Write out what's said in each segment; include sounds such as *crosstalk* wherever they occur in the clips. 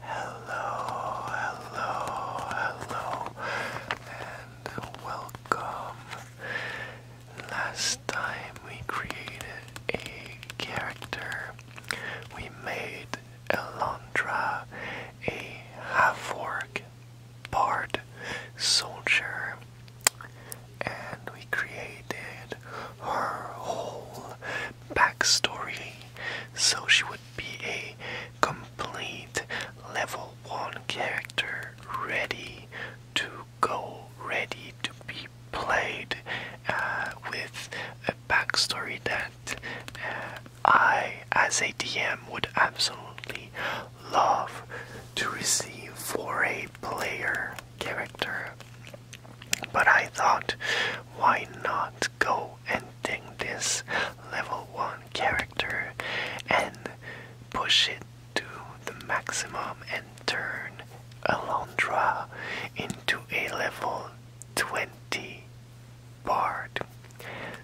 Hello, hello, hello, and welcome. Last time we created a character, we made Elantra a half-orc bard soldier, and we created her whole backstory, so she would be a complete level 1 character, ready to go, ready to be played uh, with a backstory that uh, I, as a DM, would absolutely love to receive for a player character. But I thought, why not go and take this level 1 character and push it to the maximum and turn Alondra into a level 20 bard.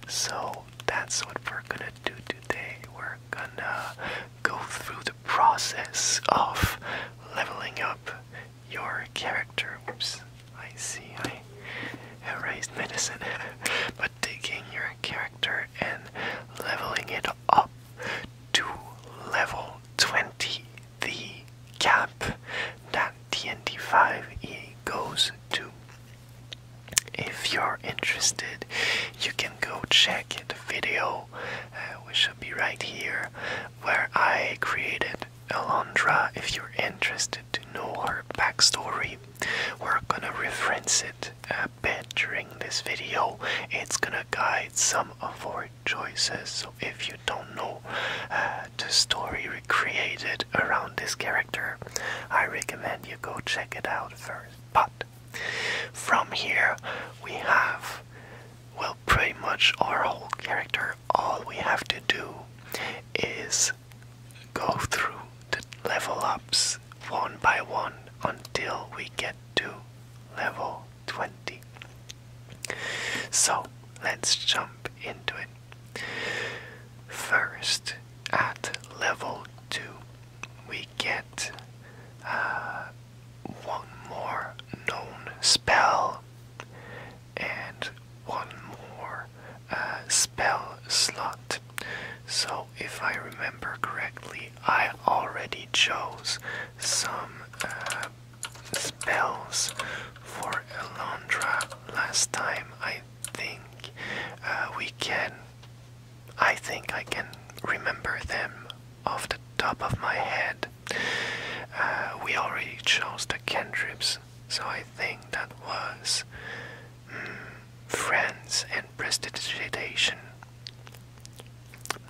So that's what we're gonna do today. We're gonna go through the process of leveling up your character. Oops, I see I erased medicine. *laughs* but taking your character and leveling it up to level 20, the cap that d and 5 EA goes to. If you're interested, you can go check the video, uh, which should be right here, where I created Alondra, if you're interested to know her backstory, we're gonna reference it a bit during this video. It's gonna guide some of our choices. So if you don't know uh, the story recreated around this character, I recommend you go check it out first. But from here, we have well, pretty much our whole character all we have to do is go through the level ups one by one until we get to level 20. So let's jump into it. First, at level 2, we get uh, one more known spell and one more uh, spell slot. So, if I remember correctly, I already chose some uh, spells for Elondra last time. I think uh, we can. I think I can remember them off the top of my head. we already chose the cantrips, so I think that was hmm, friends and prestidigitation.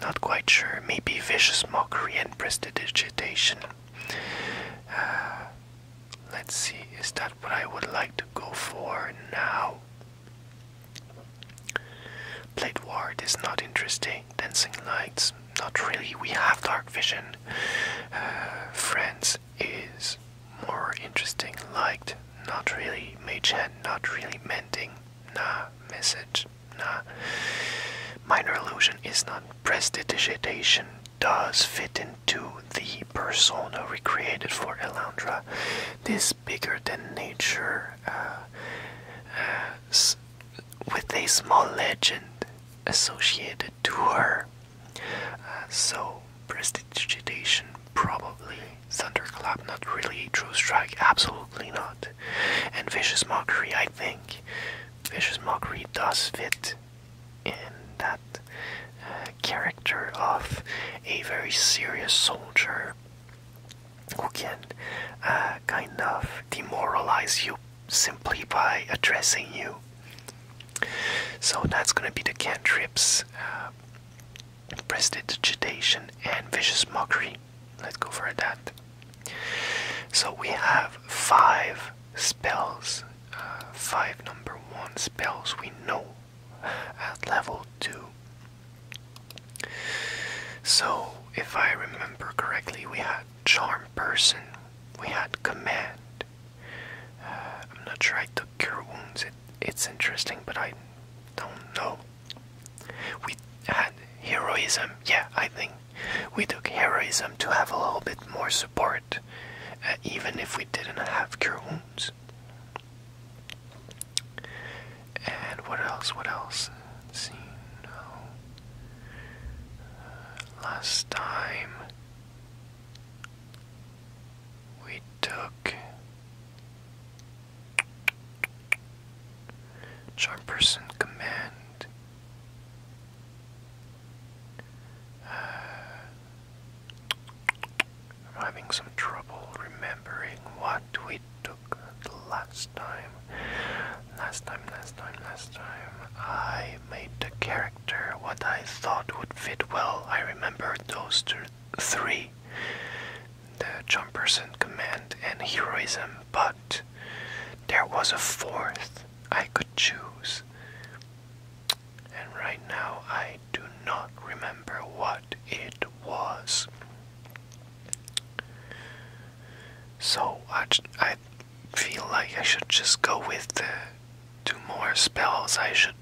Not quite sure. Maybe vicious mockery and prestidigitation. Uh, let's see. Is that what I would like to go for now? Plate war is not interesting. Dancing lights, not really. We have dark vision. Uh, Friends is more interesting. Liked, not really. Mage not really. Mending, nah. Message, nah. Minor illusion is not. Prestidigitation does fit into the persona recreated for Elandra. This bigger than nature, uh, uh, with a small legend associated to her. Uh, so, prestidigitation, probably. Thunderclap, not really. a True Strike, absolutely not. And Vicious Mockery, I think. Vicious Mockery does fit in that uh, character of a very serious soldier who can uh, kind of demoralize you simply by addressing you. So that's going to be the cantrips, uh, prestidigitation, and vicious mockery. Let's go for that. So we have five spells, uh, five number one spells we know at level two. So if I remember correctly, we had charm person, we had command, uh, I'm not sure I took cure wounds. it's interesting, but I don't know. We had heroism. Yeah, I think we took heroism to have a little bit more support, uh, even if we didn't have cure wounds. And what else? What else? Let's see, no. Uh, last time, we took Charm Person Command. Uh, I'm having some trouble remembering what we took the last time. Last time, last time, last time, I made the character actor what I thought would fit well. I remember those three the jumpers and command and heroism, but there was a fourth I could choose. And right now I do not remember what it was. So I I feel like I should just go with the two more spells I should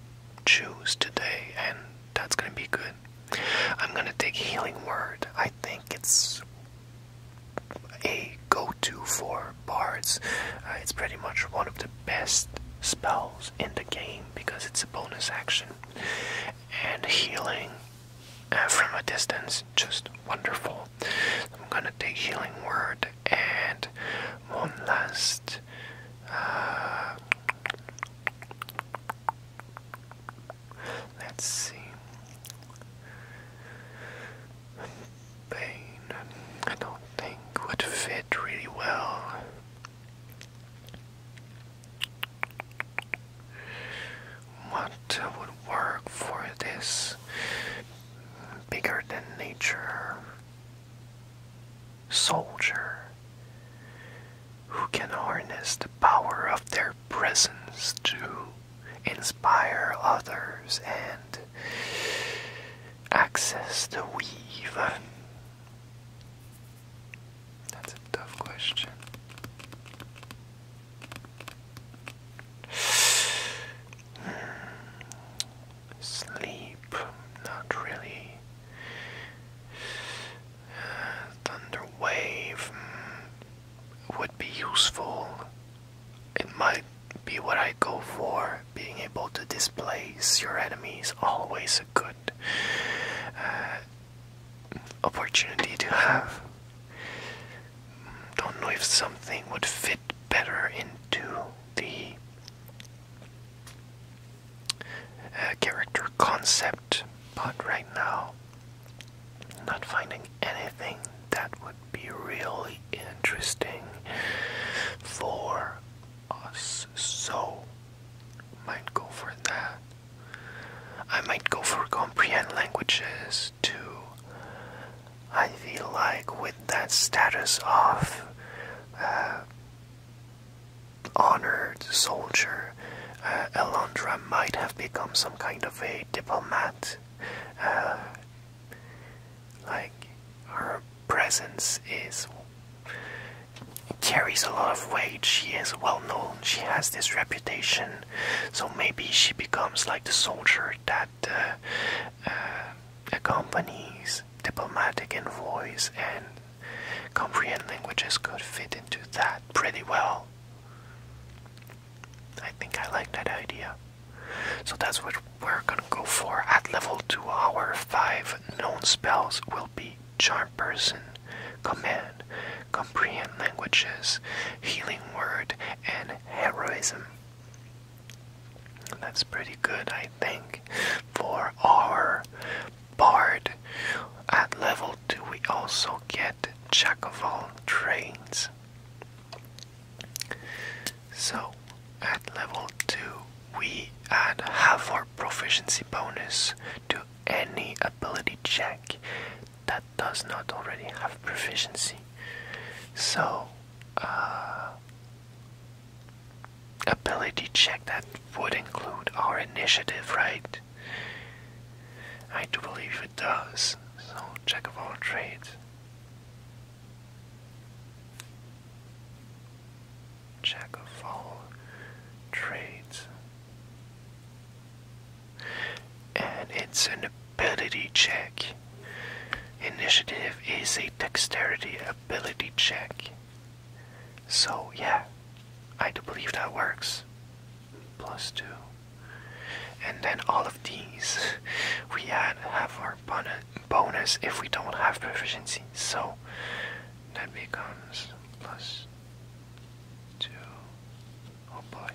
choose today, and that's gonna be good. I'm gonna take Healing Word. I think it's a go to for bards. Uh, it's pretty much one of the best spells in the game because it's a bonus action. And healing uh, from a distance, just wonderful. I'm gonna take Healing Word and one last. Uh, let's see. Pain, I don't think would fit really well. What would work for this? bigger than nature soldier who can harness the power of their presence to inspire others and access the weave. That's a tough question. Sleep, not really. Thunderwave mm, would be useful. It might be what I go for. Being able to displace your enemies always a good uh, opportunity to have. Don't know if something would fit better into the uh, character concept, but right now, not finding anything that would be really interesting for us. So, might go for that. I might go for comprehend languages to I feel like with that status of uh, honored soldier, Elandra uh, might have become some kind of a diplomat. Uh, like her presence is carries a lot of weight. She is well known. She has this reputation. So maybe she becomes like the soldier that accompanies diplomatic envoys and comprehend languages could fit into that pretty well. I think I like that idea. So that's what we're gonna go for. At level 2, our 5 known spells will be Charm Person, Command, Comprehend Languages, Healing Word, and Heroism. That's pretty good, I think, for our bard. At level 2, we also get Jack of all trades. So, at level 2, we add half our proficiency bonus to any ability check that does not already have proficiency. So, uh, ability check that would include our initiative, right? I do believe it does. So, check of all trades. Check of all trades. And it's an ability check. Initiative is a dexterity ability check. So, yeah, I do believe that works. Plus two. And then all of these *laughs* we add have our bonus if we don't have proficiency. So that becomes plus two. Oh boy.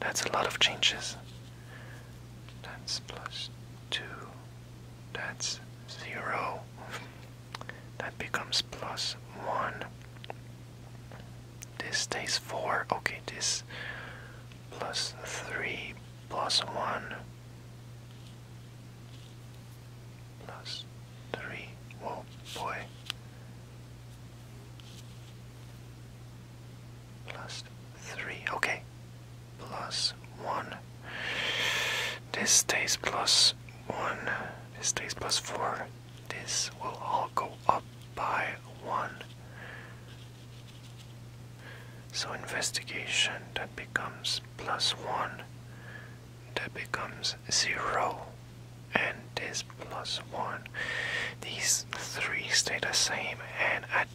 That's a lot of changes. That's plus 2, that's 0, that becomes plus 1, this stays 4, okay, this plus 3, plus 1, plus 3, oh boy plus 3. Okay. Plus 1. This stays plus 1. This stays plus 4. This will all go up by 1. So investigation that becomes plus 1. That becomes 0. And this plus 1. These three stay the same and at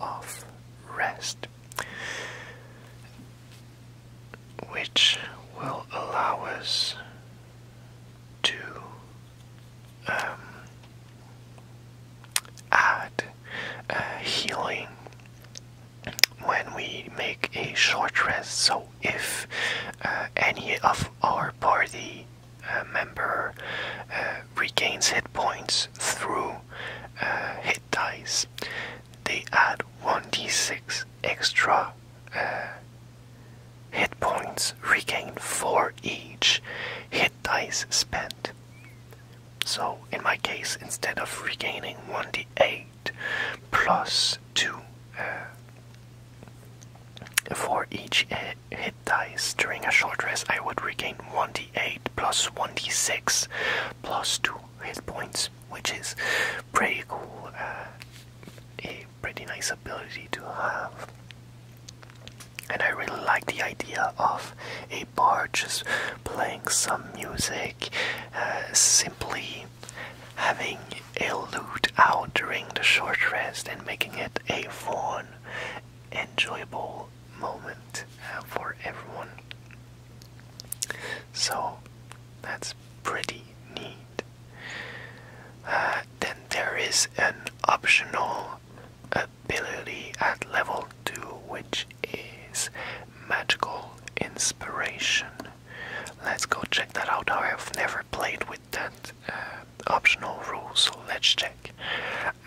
of rest, which will allow us to um, add uh, healing when we make a short rest. So, if uh, any of our party uh, member uh, regains hit points through uh, hit dice, they add 1d6 extra hit points regained for each hit dice spent. So, in my case, instead of regaining 1d8 plus 2 for each hit hit dice during a short rest, I would regain 28 plus 26, 2 hit points, which is pretty cool. Uh, a pretty nice ability to have. And I really like the idea of a bard just playing some music, uh, simply having a lute out during the short rest and making it a fun, enjoyable moment uh, for everyone. So that's pretty neat. Uh, then there is an optional ability at level 2 which is magical inspiration. Let's go check that out. I've never played with that uh, optional rules, let's check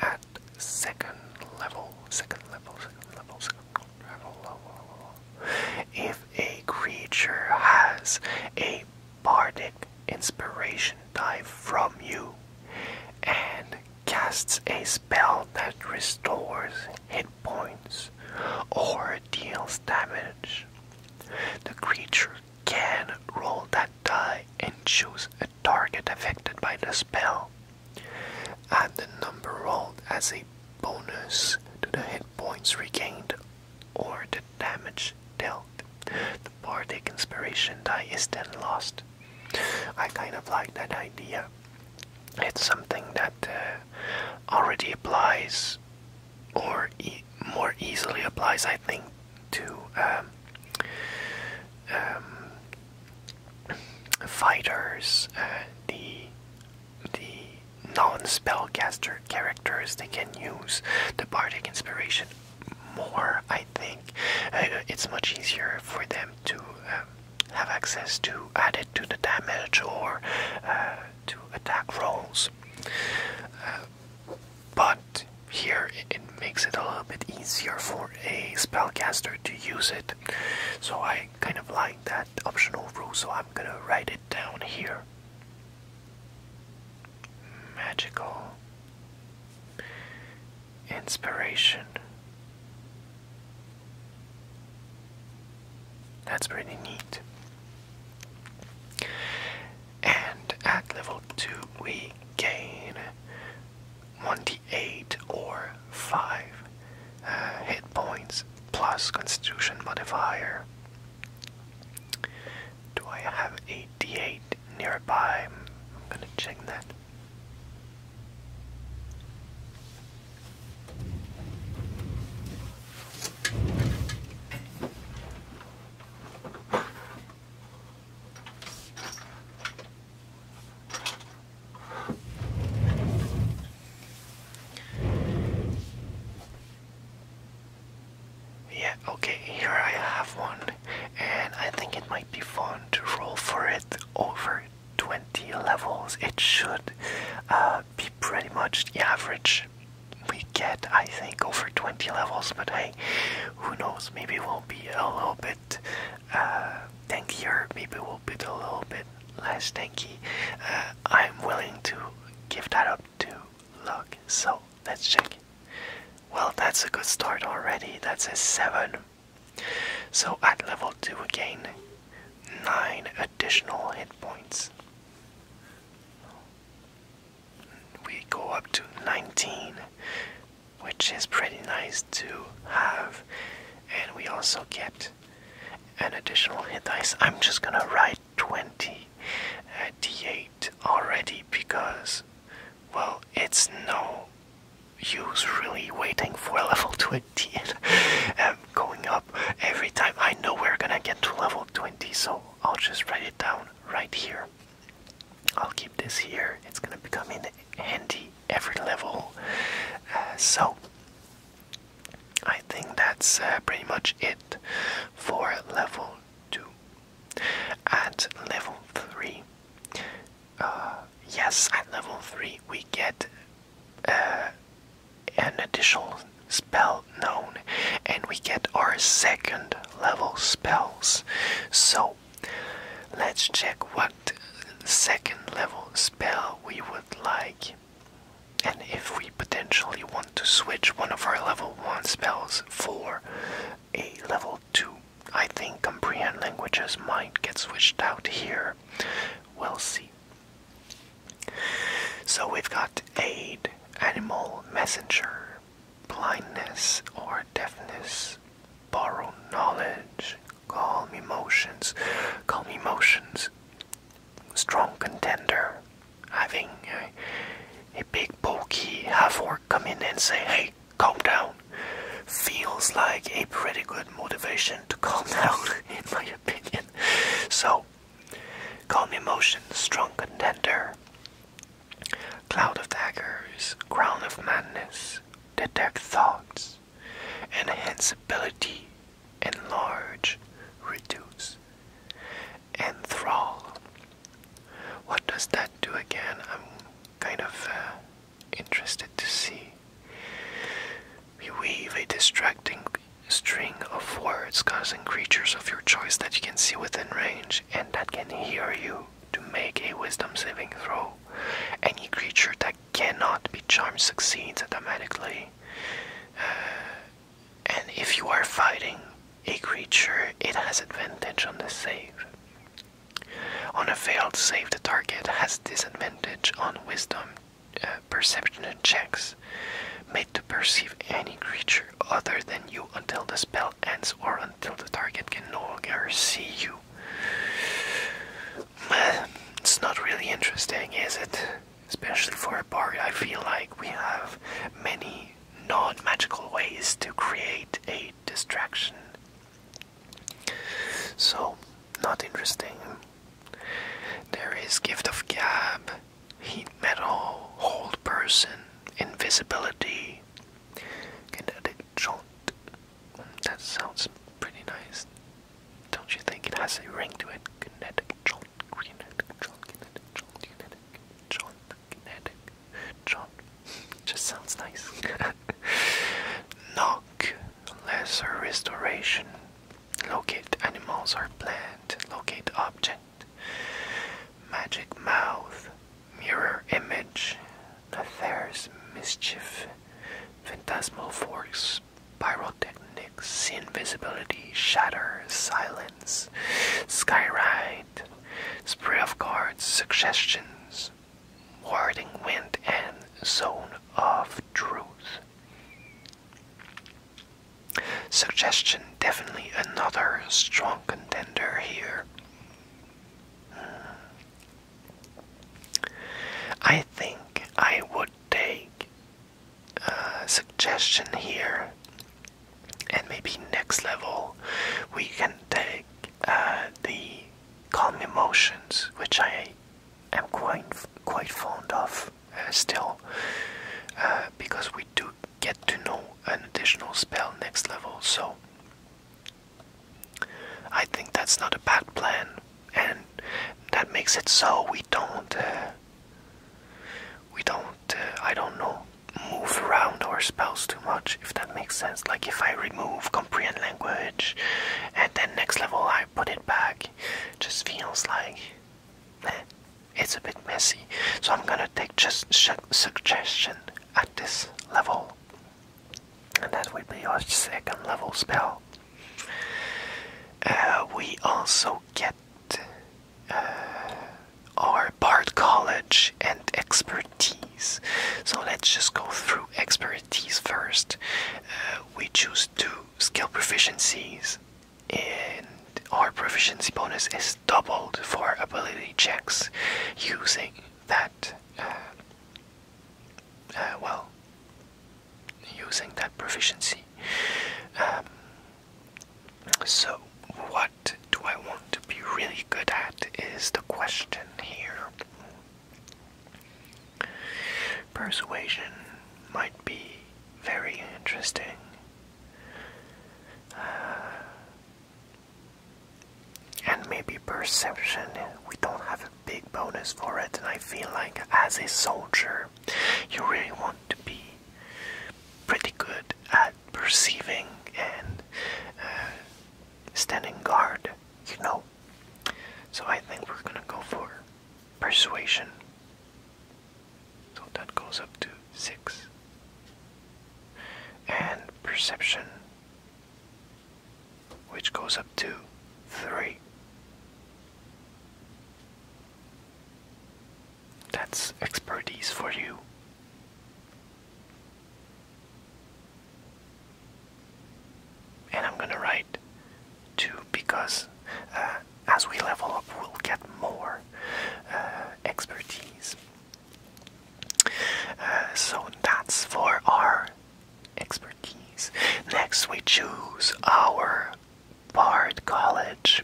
at second level, second level, second level, second level. If a creature has a bardic inspiration die from you and casts a spell that restores hit points or deals damage, the creature can roll that die and choose a target affected by the spell. Add the number rolled as a bonus to the hit points regained or the damage dealt. The bardic inspiration die is then lost. I kind of like that idea. It's something that uh, already applies or more easily applies, I think, to um, um, fighters, uh, the the non-spellcaster characters. They can use the bardic inspiration more. I think uh, it's much easier for them to. Um, have access to add it to the damage or uh, to attack rolls. but here it makes it a little bit easier for a spellcaster to use it so I kind of like that optional rule so I'm gonna write it down here magical inspiration that's pretty neat and at level 2 we gain 1d Eight or 5 uh, hit points plus constitution modifier. Do I have a d8 nearby? I'm gonna check that. Yeah, okay, here I have one, and I think it might be fun to roll for it over 20 levels. It should uh, be pretty much the average we get, I think, over 20 levels, but hey, who knows? Maybe we'll be a little bit uh, tanky or maybe we'll be a little bit less tanky. Uh, I'm willing to give that up to luck. So let's check. Well, that's a good start already. That's a 7. So at level 2 again, 9 additional hit points. We go up to 19 which is pretty nice to have. And we also get an additional hit dice. I'm just gonna write 28 uh, already because, well, it's no use really waiting for level 28 *laughs* and um, going up every time. I know we're gonna get to level 20, so I'll just write it down right here. I'll keep this here. It's gonna become in handy every level. Uh, so I think that's uh, pretty much it for level two. At level three, uh, yes, at level three we get an additional spell known, and we get our second level spells. So Let's check what second level spell we would like and if we potentially want to switch one of our level 1 spells for a level 2. I think comprehend languages might get switched out here. We'll see. So we've got aid, animal messenger, blindness or deafness, borrow knowledge, calm emotions, calm emotions. Strong contender, having a, a big bulky Havor come in and say, hey, calm down, feels like a pretty good motivation to calm *laughs* down, in my opinion. So, calm emotions, strong contender. Cloud of Daggers, Crown of Madness, detect thoughts, enhance ability, enlarge, reduce, enthrall. What does that do again? I'm kind of uh, interested to see. We weave a distracting string of words causing creatures of your choice that you can see within range and that can hear you to make a wisdom saving throw. Any creature that cannot be charmed succeeds automatically. Uh, and if you are fighting a creature, it has advantage on the save. On a failed save, the target has disadvantage on wisdom, uh, perception, checks made to perceive any creature other than you until the spell ends or until the target can no longer see you. It's not really interesting, is it? Especially for a bard, I feel like we have many non magical ways to create a distraction. So, not interesting. There is Gift of Gab, Heat Metal, Hold Person, Invisibility. kinetic that that sounds pretty nice. Don't you think it has a ring to it? Kinetic, John, kinetic, John, kinetic, John, kinetic, John, John. Just sounds nice. *laughs* Knock, lesser restoration. Locate animals or plant. Locate object. Magic mouth mirror image, Nathair's mischief, phantasmal forks, pyrotechnics, invisibility, shatter, silence, skyride, spray of cards, suggestions, warding wind, and zone of truth. Suggestion definitely another strong contender here. I think I would take a suggestion here, and maybe next level we can take uh, the calm emotions, which I am quite quite fond of uh, still, uh, because we do get to know an additional spell next level. So I think that's not a bad plan, and that makes it so we don't, uh, we don't, uh, I don't know, move around our spells too much, if that makes sense. Like if I remove comprehend language, and then next level I put it back, just feels like *laughs* it's a bit messy. So I'm gonna take just suggestion at this level and that will be our second level spell. Uh, we also get uh, our Bard College and Expertise. So let's just go through Expertise first. Uh, we choose two skill proficiencies, and our proficiency bonus is doubled for ability checks using that uh, well, using that proficiency. Um, so, what do I want to be really good at? Is the question here. Persuasion might be very interesting. Uh, and maybe perception we don't have a big bonus for it and i feel like as a soldier you really want to be pretty good at perceiving and uh, standing guard you know so i think we're gonna go for persuasion so that goes up to six and perception which goes up to 3. That's expertise for you. And I'm gonna write 2 because uh, as we level up, we'll get more uh, expertise. Uh, so that's for our expertise. Next, we choose our Bard College,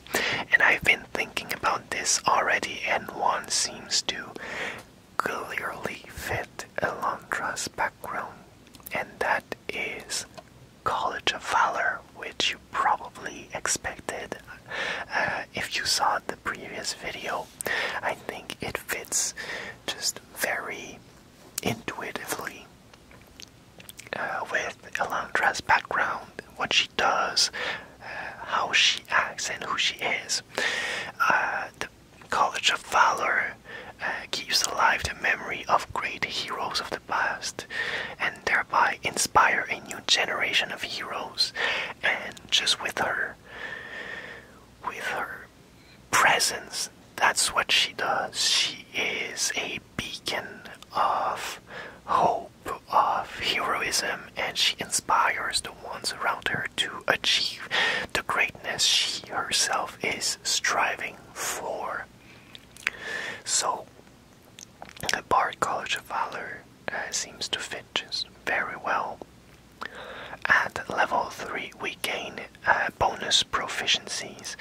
and I've been thinking about this already, and one seems to clearly fit Elondra's background, and that is College of Valor, which you probably expected uh, if you saw the previous video. I think it fits just used very intuitively uh, with Elandra's background, what she does, uh, how she acts, and who she is. Uh, the College of Valor keeps alive the memory of great heroes of the past and thereby inspire a new generation of heroes. And just with her, with her presence. That's what she does. She is a beacon of hope, of heroism, and she inspires the ones around her to achieve the greatness she herself is striving for. So, the Bard College of Valor uh, seems to fit just very well at level 3, we gain uh, bonus proficiencies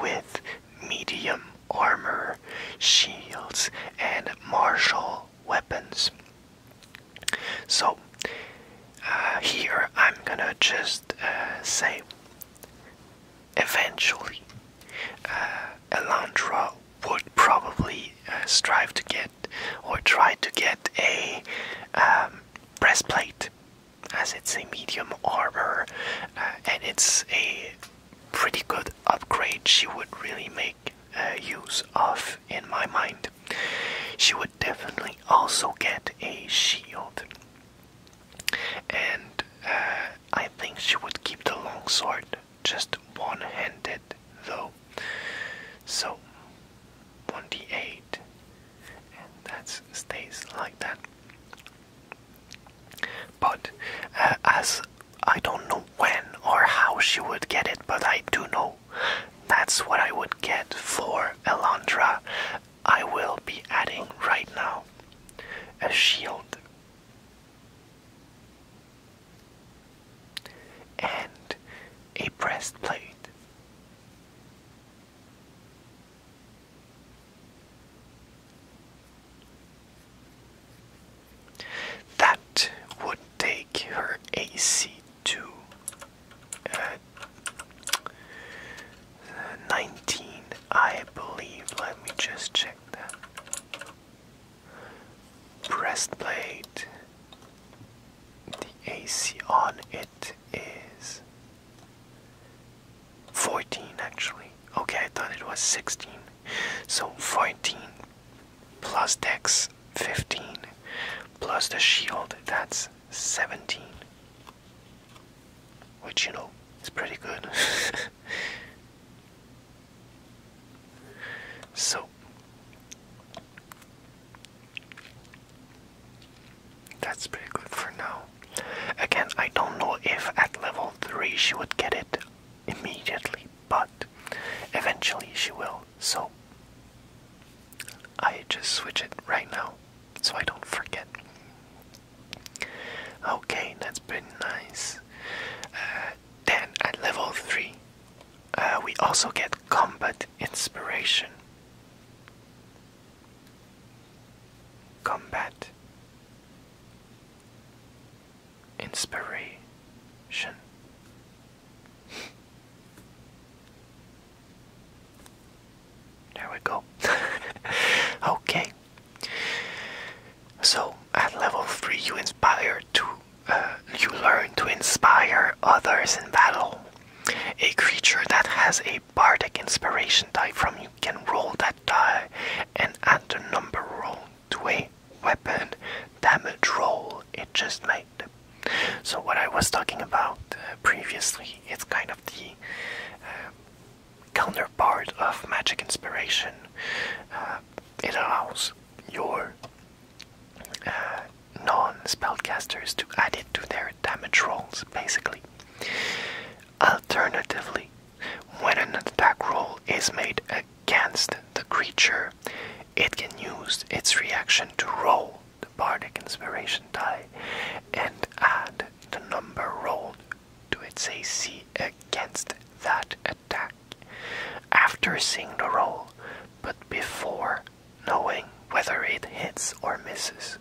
with medium armor, shields, and martial weapons. So, uh, here I'm gonna just uh, say eventually Elandra would probably strive to get or try to get a um, breastplate as it's a medium armor uh, and it's a pretty good upgrade she would really make uh, use of in my mind. She would definitely also get a shield. And uh, I think she would keep the long sword, just one handed though. So twenty-eight and that stays like that. But uh, as I don't know when or how she would get it, but I do know that's what I would get for Elandra. I will be adding right now a shield and a breastplate that would take her AC to uh, 19, I believe. Let me just check that. Breastplate the AC on it is 14 actually. Okay, I thought it was 16. So 14 plus dex 15 plus the shield, that's 17. Which, you know, is pretty good. *laughs* so that's pretty good for now. Again, I don't know if at level 3 she would get it immediately, but eventually she will. So I just switch it right now so I don't forget. Okay, that's pretty nice. Uh, then at level 3, uh, we also get combat inspiration. Combat Inspiration There we go. *laughs* okay. So at level 3 you inspire to uh, you learn to inspire others in battle. A creature that has a bardic inspiration die from, you can roll that die and add the number rolled to a weapon damage roll it just made. So what I was talking about uh, previously, it's kind of the uh, counterpart of magic inspiration. Uh, it allows your non-spellcasters to add it to their damage rolls, basically. Alternatively, when an attack roll is made against the creature, it can use its reaction to roll the bardic inspiration die and add the number rolled to its AC against that attack after seeing the roll, but before knowing whether it hits or misses.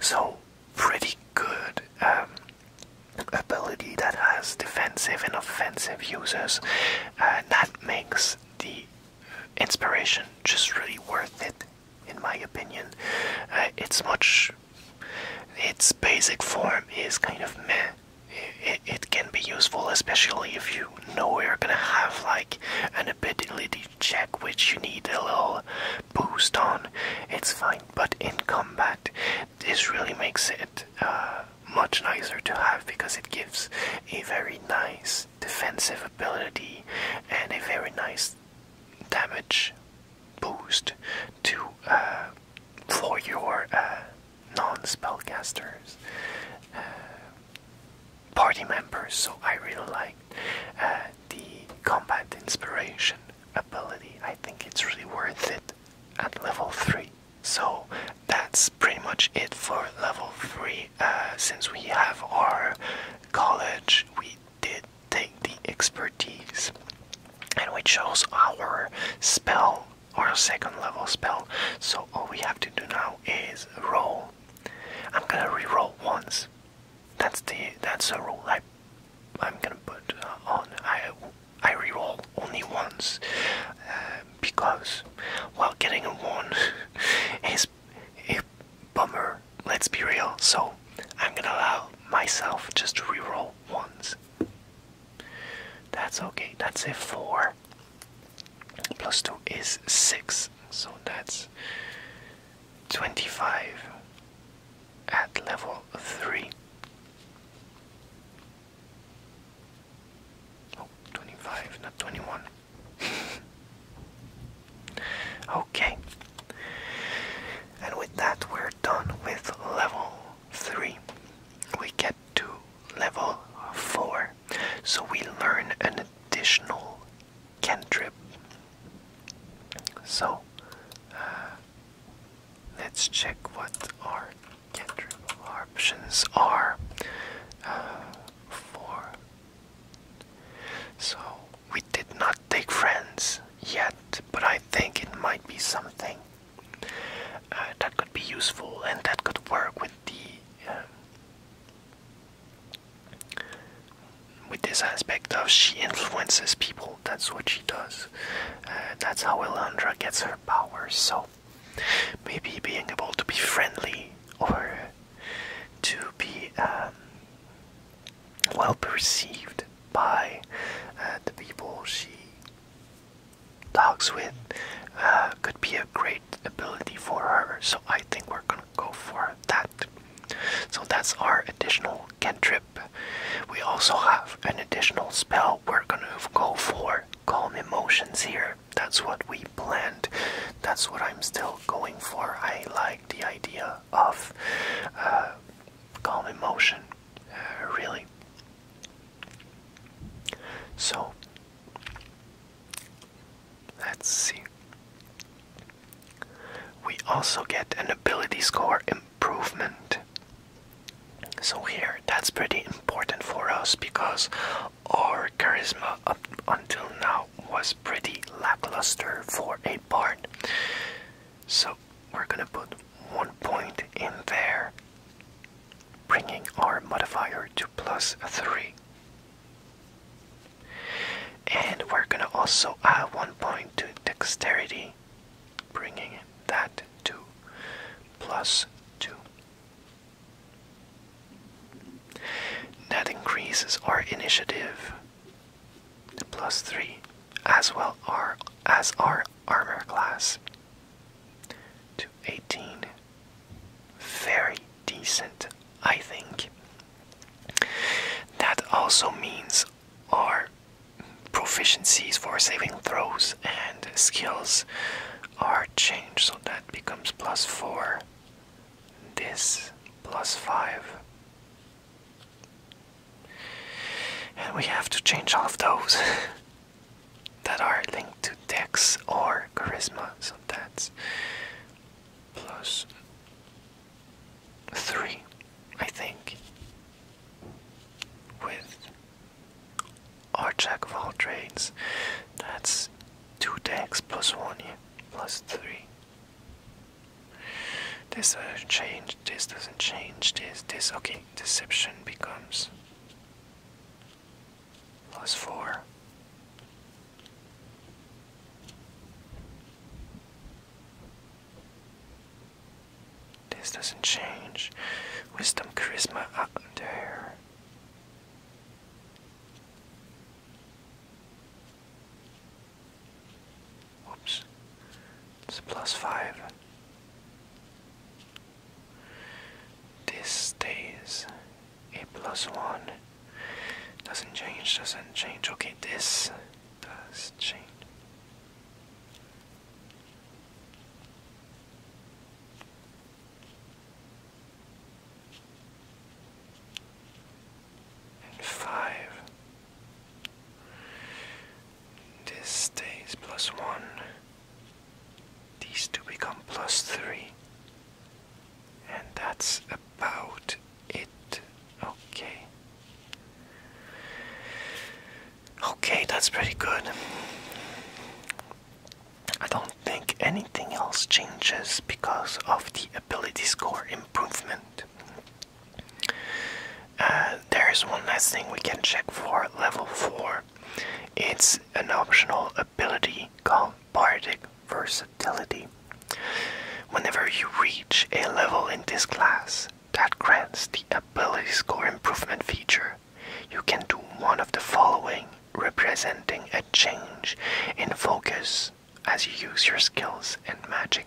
So, pretty good um, ability that has defensive and offensive uses. that makes the inspiration just really worth it, in my opinion. Uh, it's much. Its basic form is kind of meh. It, it can be useful, especially if you know you're gonna have like an ability check, which you need a little boost on, it's fine. But in combat, this really makes it uh, much nicer to have because it gives a very nice defensive ability and a very nice damage boost to uh, for your uh, non-spellcasters party members, so I really like uh, the combat inspiration ability. I think it's really worth it at level 3. So that's pretty much it for level 3. Uh, since we have our college, we did take the expertise and we chose our spell our second level spell. So all we have to do now is roll. I'm gonna re-roll once that's the that's a rule I I'm gonna put uh, on. I I reroll only once uh, because while getting a one *laughs* is a bummer. Let's be real. So I'm gonna allow myself just to reroll once. That's okay. That's a four. Plus two is six. So that's 25 at level 3. Oh, not 21. *laughs* okay. And with that, we're done with level 3. We get to level 4. So we learn an additional cantrip. So uh, let's check what our cantrip options are uh, for. So we did not take friends yet, but I think it might be something uh, that could be useful and that could work with the. Um, with this aspect of she influences people. That's what she does. Uh, that's how Elandra gets her powers. So maybe being able to be friendly or to be um, well perceived by uh, the people she talks with uh, could be a great ability for her. So I think we're gonna go for that. So that's our additional cantrip. We also have an additional spell. We're gonna go for calm emotions here. That's what we planned. That's what I'm still going for. I like the idea of uh, calm emotion, uh, really. So Let's see. We also get an ability score improvement. So, here, that's pretty important for us because our charisma up until now was pretty lackluster for a bard. So, we're gonna put one point in there, bringing our modifier to plus three. And we're gonna also add one point to dexterity, bringing that to plus two. That increases our initiative to plus three, as well as our armor class to 18. Very decent, I think. That also means our proficiencies for saving throws and skills are changed, so that becomes plus four. This plus five. And we have to change all of those *laughs* that are linked to dex or charisma, so that's plus three, I think, with our Jack of all trades. That's two tanks plus one plus three. This doesn't change, this doesn't change, this, this, okay, deception becomes plus four. This doesn't change. Wisdom, charisma up there. Whoops. It's plus five. This stays a plus one. Doesn't change, doesn't change. Okay, this does change. And five. This stays plus one. These two become plus three. And that's about it okay okay that's pretty good i don't think anything else changes because of the ability score improvement uh, there is one last thing we can check for level 4 it's an optional ability called bardic versatility. Whenever you reach a level in this class that grants the ability score improvement feature, you can do one of the following, representing a change in focus as you use your skills and magic.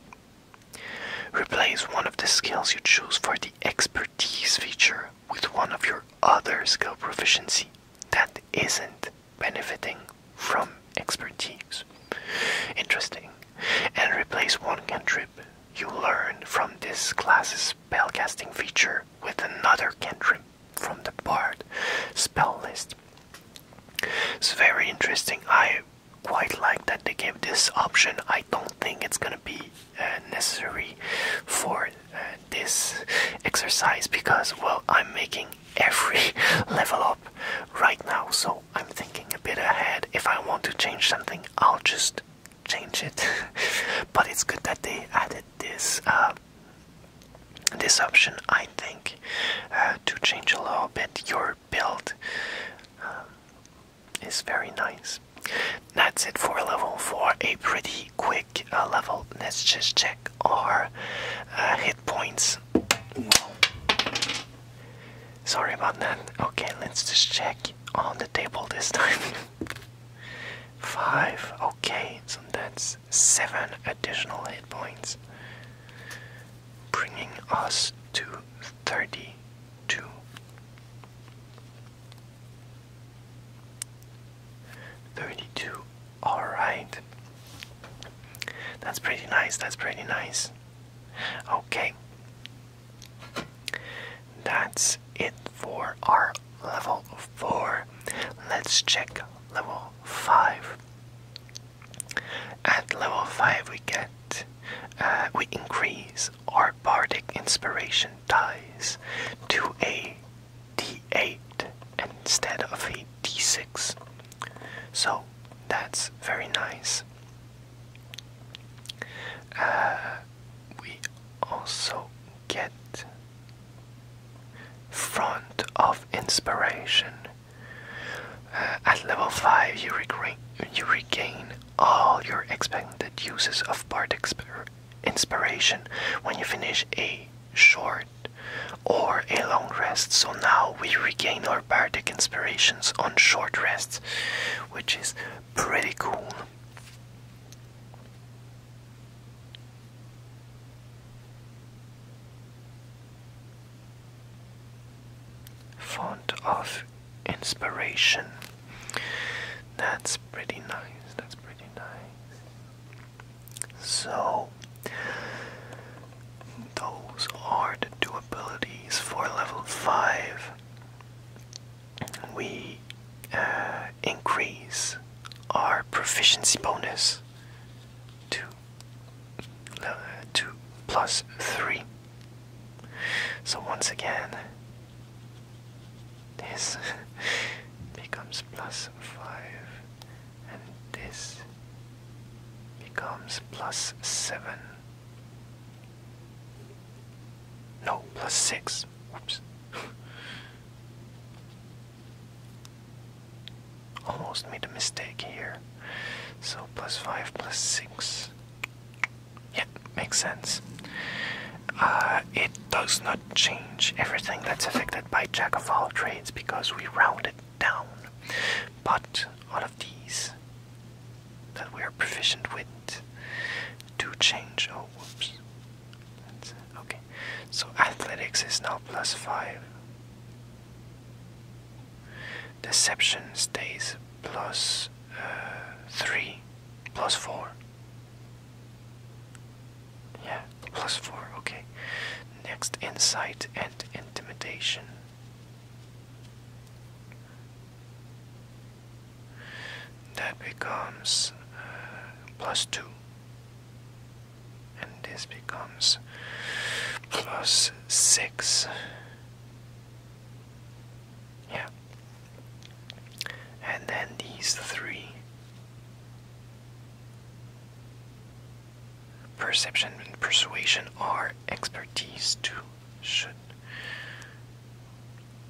Replace one of the skills you choose for the expertise feature with one of your other skill proficiency that isn't benefiting from expertise. Interesting. And replace one cantrip you learn from this class's spellcasting feature with another cantrip from the bard spell list. It's very interesting. I quite like that they gave this option. I don't think it's gonna be uh, necessary for uh, this exercise because, well, I'm making every *laughs* level up right now, so I'm thinking a bit ahead. If I want to change something, I'll just change it. *laughs* but it's good that they added this uh, this option, I think, uh, to change a little bit your build. Um, is very nice. That's it for level 4. A pretty quick uh, level. Let's just check our hit points. Sorry about that. Okay, let's just check on the table this time. *laughs* Five. Okay, so that's seven additional hit points, bringing us to 32. Thirty-two. All right. That's pretty nice. That's pretty nice. Okay. That's it for our level 4. Let's check level 5. At level 5 we get uh, we increase our bardic inspiration dice to a d8 instead of a d6 so that's very nice. Uh, we also get front of inspiration. Uh, at level 5, you, regain, you regain all your expected uses of part inspiration when you finish a short or a long rest. So now we regain our bardic inspirations on short rests, which is pretty cool. Font of inspiration. That's pretty nice. That's pretty nice. So, those are the two for level 5. We uh, increase our proficiency bonus to, uh, 3. So once again, this *laughs* becomes plus 5, and this becomes plus 7. No, plus 6. Oops. *laughs* Almost made a mistake here. So plus 5 plus 6. Yeah, makes sense. Uh, it does not change everything that's affected by Jack of all trades because we round it down. But all of these that we are proficient with do change. Oh, whoops. okay, so athletics is now plus five. Deception stays uh, three, plus four. Yeah, plus four. Okay. Next, insight and intimidation that becomes uh, 2 and this becomes plus 6 yeah and then these three Perception and persuasion are expertise too. Should.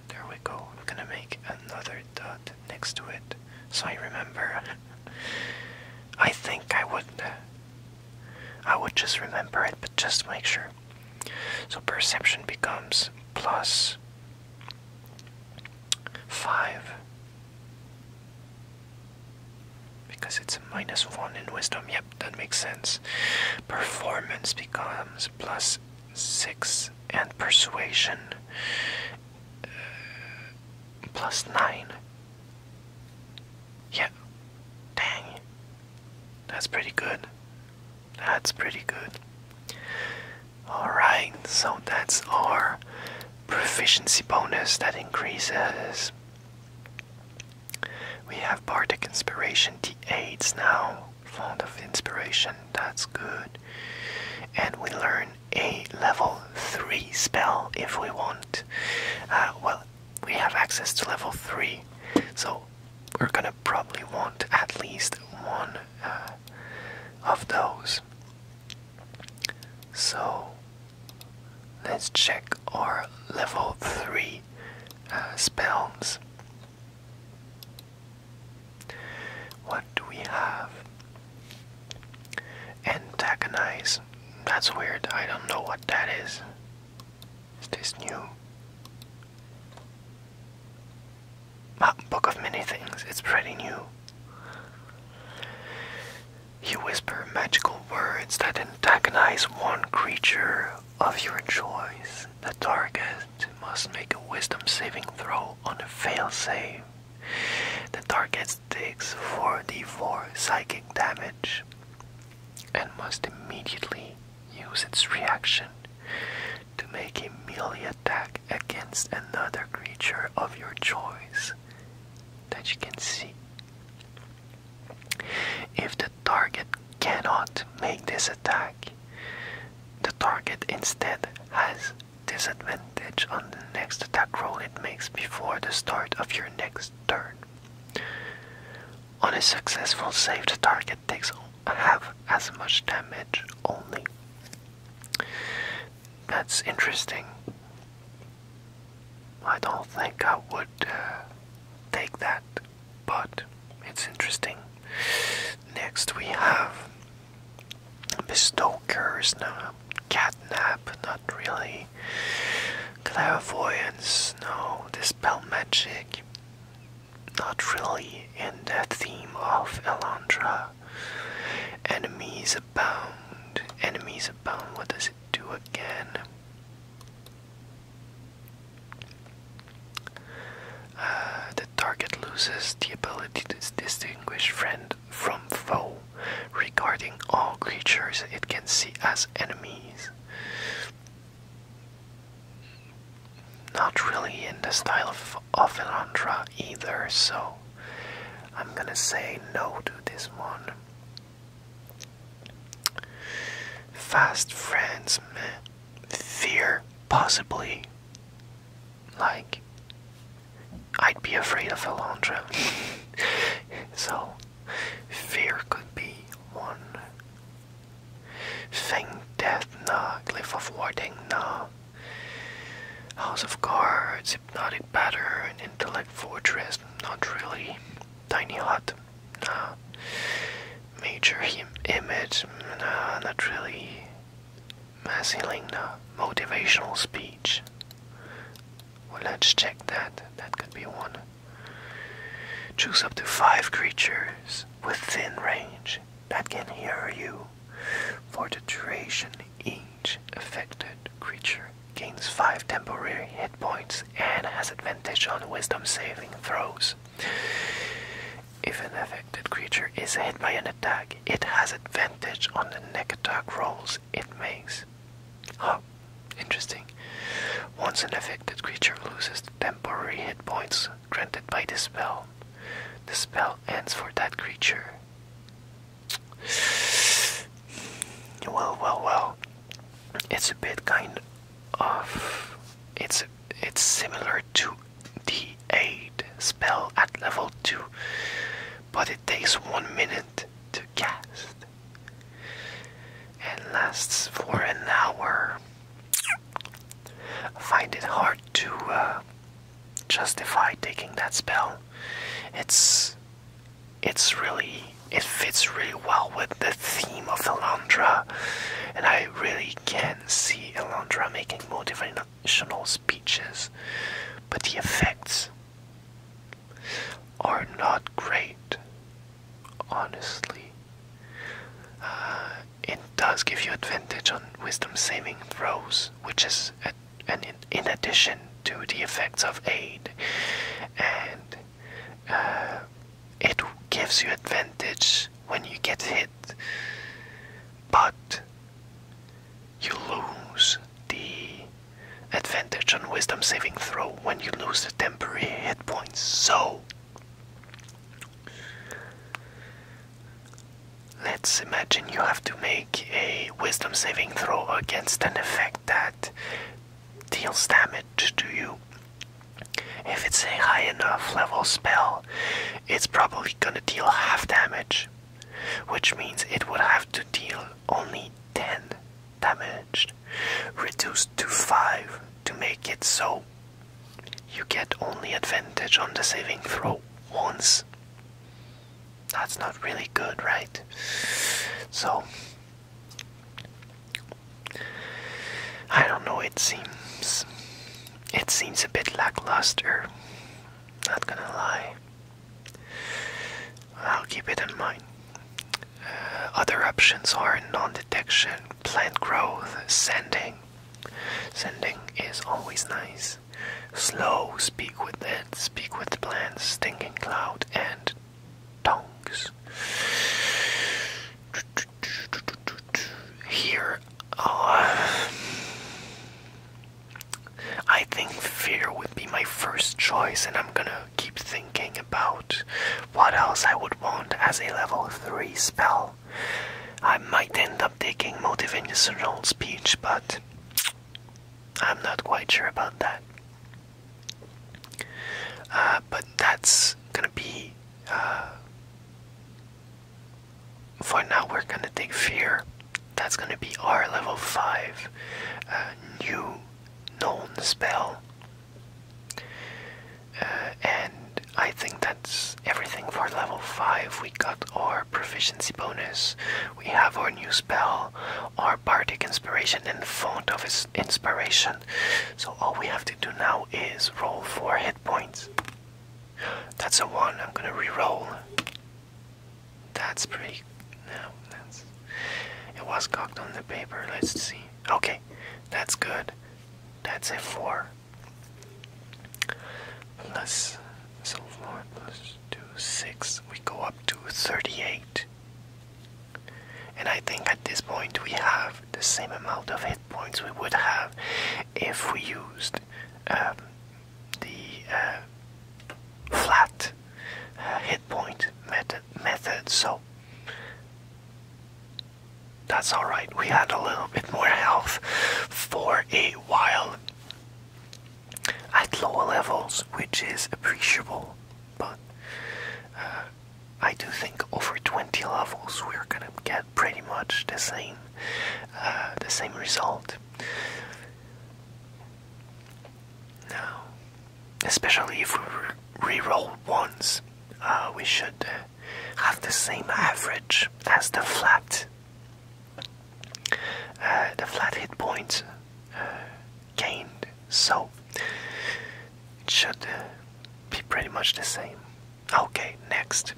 There we go. I'm gonna make another dot next to it so I remember. *laughs* I think I would. I would just remember it, but just make sure. So perception becomes plus 5 because it's a minus 1 in wisdom. Yep, that makes sense. Performance becomes plus 6 and persuasion uh, 9. Yeah. Dang. That's pretty good. That's pretty good. Alright, so that's our proficiency bonus that increases. We have Bardic Inspiration D8s now. Font of Inspiration, that's good. And we learn a level 3 spell if we want. Uh, well, we have access to level 3, so we're gonna probably want at least one uh, of those. So Let's check our level 3 uh, spells. What do we have? Antagonize. That's weird. I don't know what that is. Is this new? Ah, Book of Many Things. It's pretty new. You whisper magical words that antagonize one creature of your choice. The target must make a wisdom saving throw on a fail save. The target takes 4d4 psychic damage and must immediately use its reaction to make a melee attack against another creature of your choice that you can see. If the target cannot make this attack, the target instead has disadvantage on the next attack roll it makes before the start of your next turn. On a successful save, the target takes half as much damage only. That's interesting. I don't think I would uh, take that, but it's interesting. Next we have Bestokers, no, Catnap, not really. Clairvoyance, no, Dispel Magic, not really in the theme of Elandra. Enemies abound, enemies abound, what does it do again? Uh, the target loses the ability to distinguish friend from foe, regarding all creatures it can see as enemies. Not really in the style of, of either, so I'm gonna say no to this one. Fast friends, Fear, possibly. Like, I'd be afraid of a Alondra. *laughs* so, fear could be one. thing. Death, nah. Cliff of Warding, no House of Cards, Hypnotic Pattern, Intellect Fortress, not really. Tiny Hut, Nah. Major image, not really. Massiling, Motivational speech. Well, let's check that. That could be one. Choose up to five creatures within range that can hear you. For the duration, each affected creature gains five temporary points and has advantage on wisdom saving throws. If an affected creature is hit by an attack, it has advantage on the neck attack rolls it makes. Oh, interesting. Once an affected creature loses the temporary hit points granted by the spell, the spell ends for that creature. Well, well, well it's a bit kind of it's it's similar to the aid spell at level 2 but it takes 1 minute to cast and lasts for an hour find it hard to uh, justify taking that spell it's it's really it fits really well with the theme of Elandra, and I really can see Elandra making motivational speeches, but the effects are not great, honestly. Uh, it does give you advantage on wisdom saving throws, which is an, in addition to the effects of aid, and uh, it gives you advantage when you get hit, but you lose the advantage on wisdom saving throw when you lose the temporary hit points. So let's imagine you have to make a wisdom saving throw against an effect that deals damage to you. If it's a high enough level spell, it's probably gonna deal half damage, which means it would have to deal only 10 damage, reduced to 5 to make it so you get only advantage on the saving throw once. That's not really good, right? So, I don't know, it seems it seems a bit lackluster. Not gonna lie. I'll keep it in mind. Uh, other options are non-detection, plant growth, sending. Sending is always nice. Slow, speak with it, speak with the plants, stinking cloud, and tongues. Here, uh, I think fear would be my first choice, and I'm gonna keep thinking about what else I would want as a level 3 spell. I might end up taking motivational speech, but I'm not quite sure about that. Uh, but that's gonna be uh, for now. We're gonna take fear. That's gonna be our level five uh, new known spell, and I think that's everything for level five. We got our proficiency bonus. We have our new spell, our bardic inspiration, and font of inspiration. So all we have to do now is roll four hit points. That's a one. I'm gonna re-roll. That's pretty. No, that's. It was cocked on the paper. Let's see. Okay, that's good. That's a four. Plus, so four plus two, six. We go up to thirty-eight. And I think at this point we have the same amount of hit points we would have if we used um, the uh, flat uh, hit point method, So that's alright, we had a little bit more health for a while at lower levels, which is appreciable. But uh, I do think over 20 levels we're gonna get pretty much the same uh, the same result now especially if we re-roll once uh, we should uh, have the same average as the flat the flat hit points gained so it should be pretty much the same. Okay, next.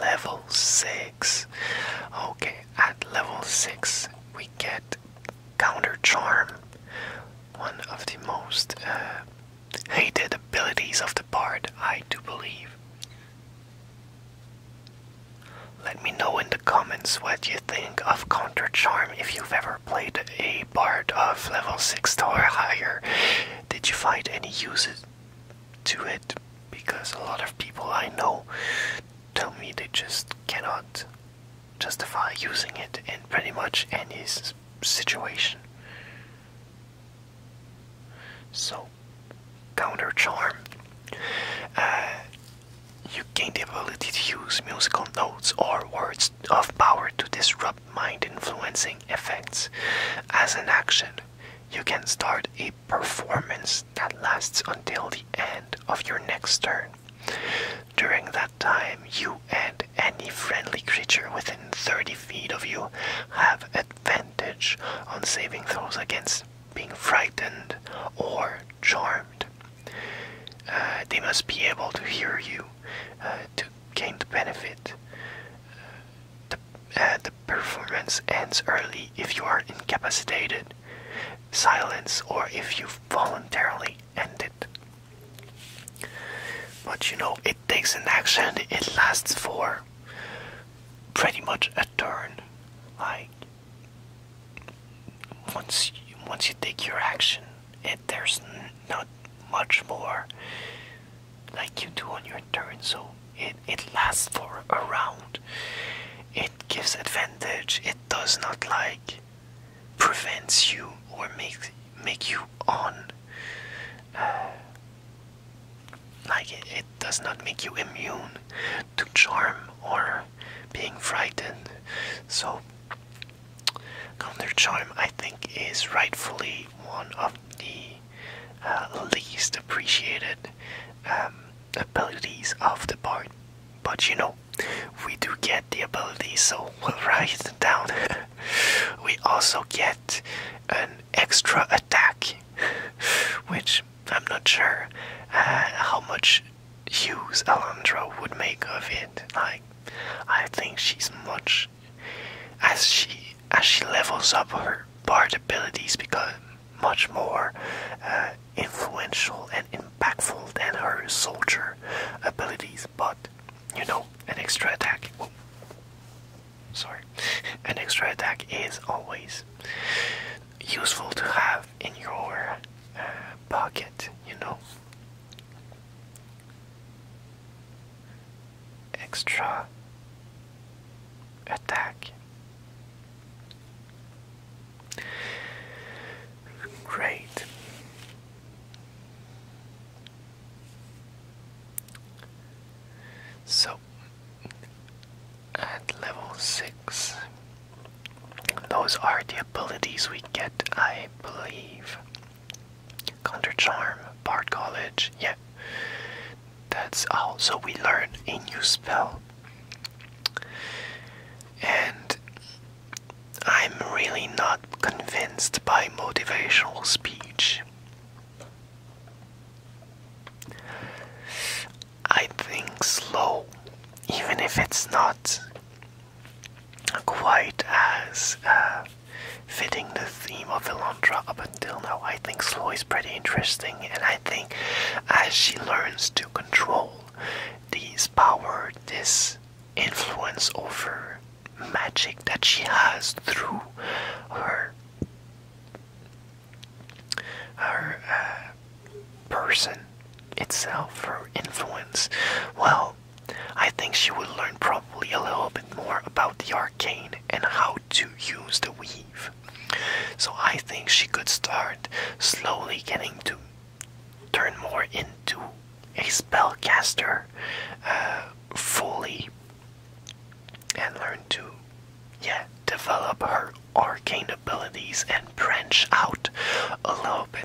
Level 6. Okay, at level 6, we get Counter Charm, one of the most uh, hated abilities of the bard. I do believe. Let me know in the comments what you think of Counter Charm if you've ever played a part of level 6 or higher, did you find any uses to it? Because a lot of people I know tell me they just cannot justify using it in pretty much any situation. So, counter charm. Uh, you gain the ability to use musical notes or words of power to disrupt mind influencing effects. As an action, you can start a performance that lasts until the end of your next turn. During that time, you and any friendly creature within 30 feet of you have advantage on saving throws against being frightened or charmed. Uh, they must be able to hear you uh, to gain the benefit. Uh, the, the performance ends early if you are incapacitated, silence, or if you voluntarily end it. But you know, it takes an action, it lasts for pretty much a turn. Like once once you take your action, it, there's not much more like you do on your turn, so it, it lasts for a round. It gives advantage, it does not like prevents you or make, make you on. *sighs* like it does not make you immune to charm or being frightened. So Counter Charm, I think, is rightfully one of the uh, least appreciated um, abilities of the part. But you know, we do get the ability, so we'll write it down. *laughs* we also get an extra attack, *laughs* which I'm not sure uh, how much use Alondra would make of it. Like, I think she's much as she as she levels up her bard abilities become much more uh, influential and impactful than her soldier abilities but you know an extra attack oh, sorry *laughs* an extra attack is always useful to have in your uh, pocket you know extra attack. Great. So at level 6, those are the abilities we get, I believe. Counter Charm, Bard College, yeah. That's all. So we learn a new spell. And I'm really not convinced by motivational speech. I think slow, even if it's not quite as uh, fitting the theme of Elantra up until now. I think Slow is pretty interesting, and I think as she learns to control these power, this influence over magic that she has through her her uh, person itself, her influence, well, I think she will learn probably a little bit more about the arcane and how to use the weave. So I think she could start slowly getting to turn more into a spellcaster uh, fully and learn to yeah develop her arcane abilities and branch out a little bit.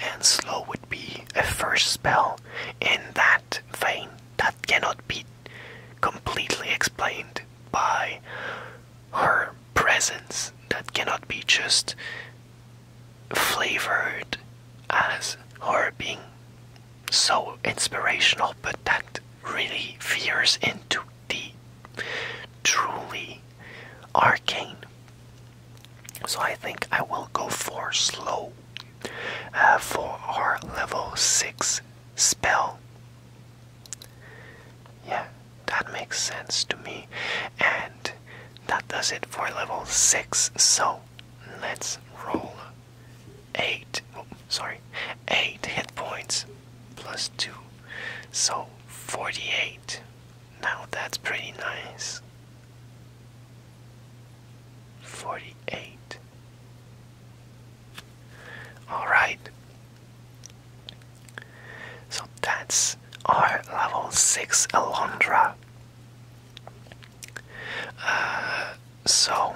And slow would be a first spell in that vein that cannot be completely explained by her presence, that cannot be just flavored as her being so inspirational, but that really veers into the truly arcane so I think I will go for slow uh, for our level 6 spell. Yeah, that makes sense to me. And that does it for level 6. So let's roll 8. Oh, sorry, 8 hit points plus 2. So 48. Now that's pretty nice. 48 all right so that's our level 6 alondra uh, so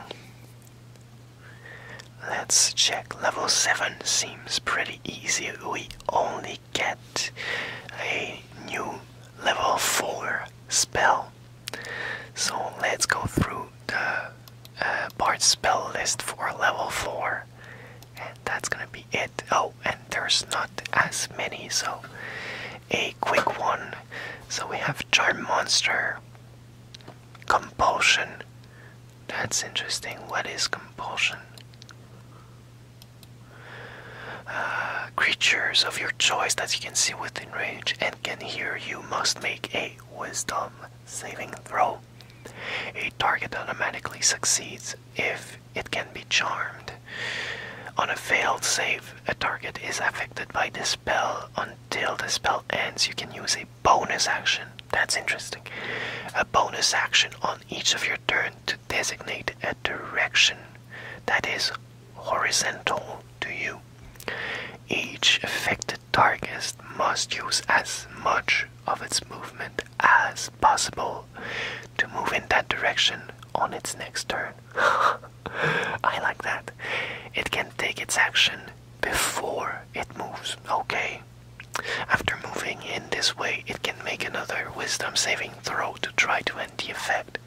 let's check level 7 seems pretty easy we only get a new level 4 spell. So let's go through the uh, part spell list for level 4. And that's gonna be it. Oh, and there's not as many, so a quick one. So we have Charm Monster, Compulsion. That's interesting. What is compulsion? *sighs* creatures of your choice that you can see within range and can hear you must make a wisdom saving throw. A target automatically succeeds if it can be charmed. On a failed save, a target is affected by this spell until the spell ends. You can use a bonus action. That's interesting. A bonus action on each of your turn to designate a direction that is horizontal to you. Each affected target must use as much of its movement as possible to move in that direction on its next turn. *laughs* I like that. It can take its action before it moves, okay? After moving in this way, it can make another wisdom saving throw to try to end the effect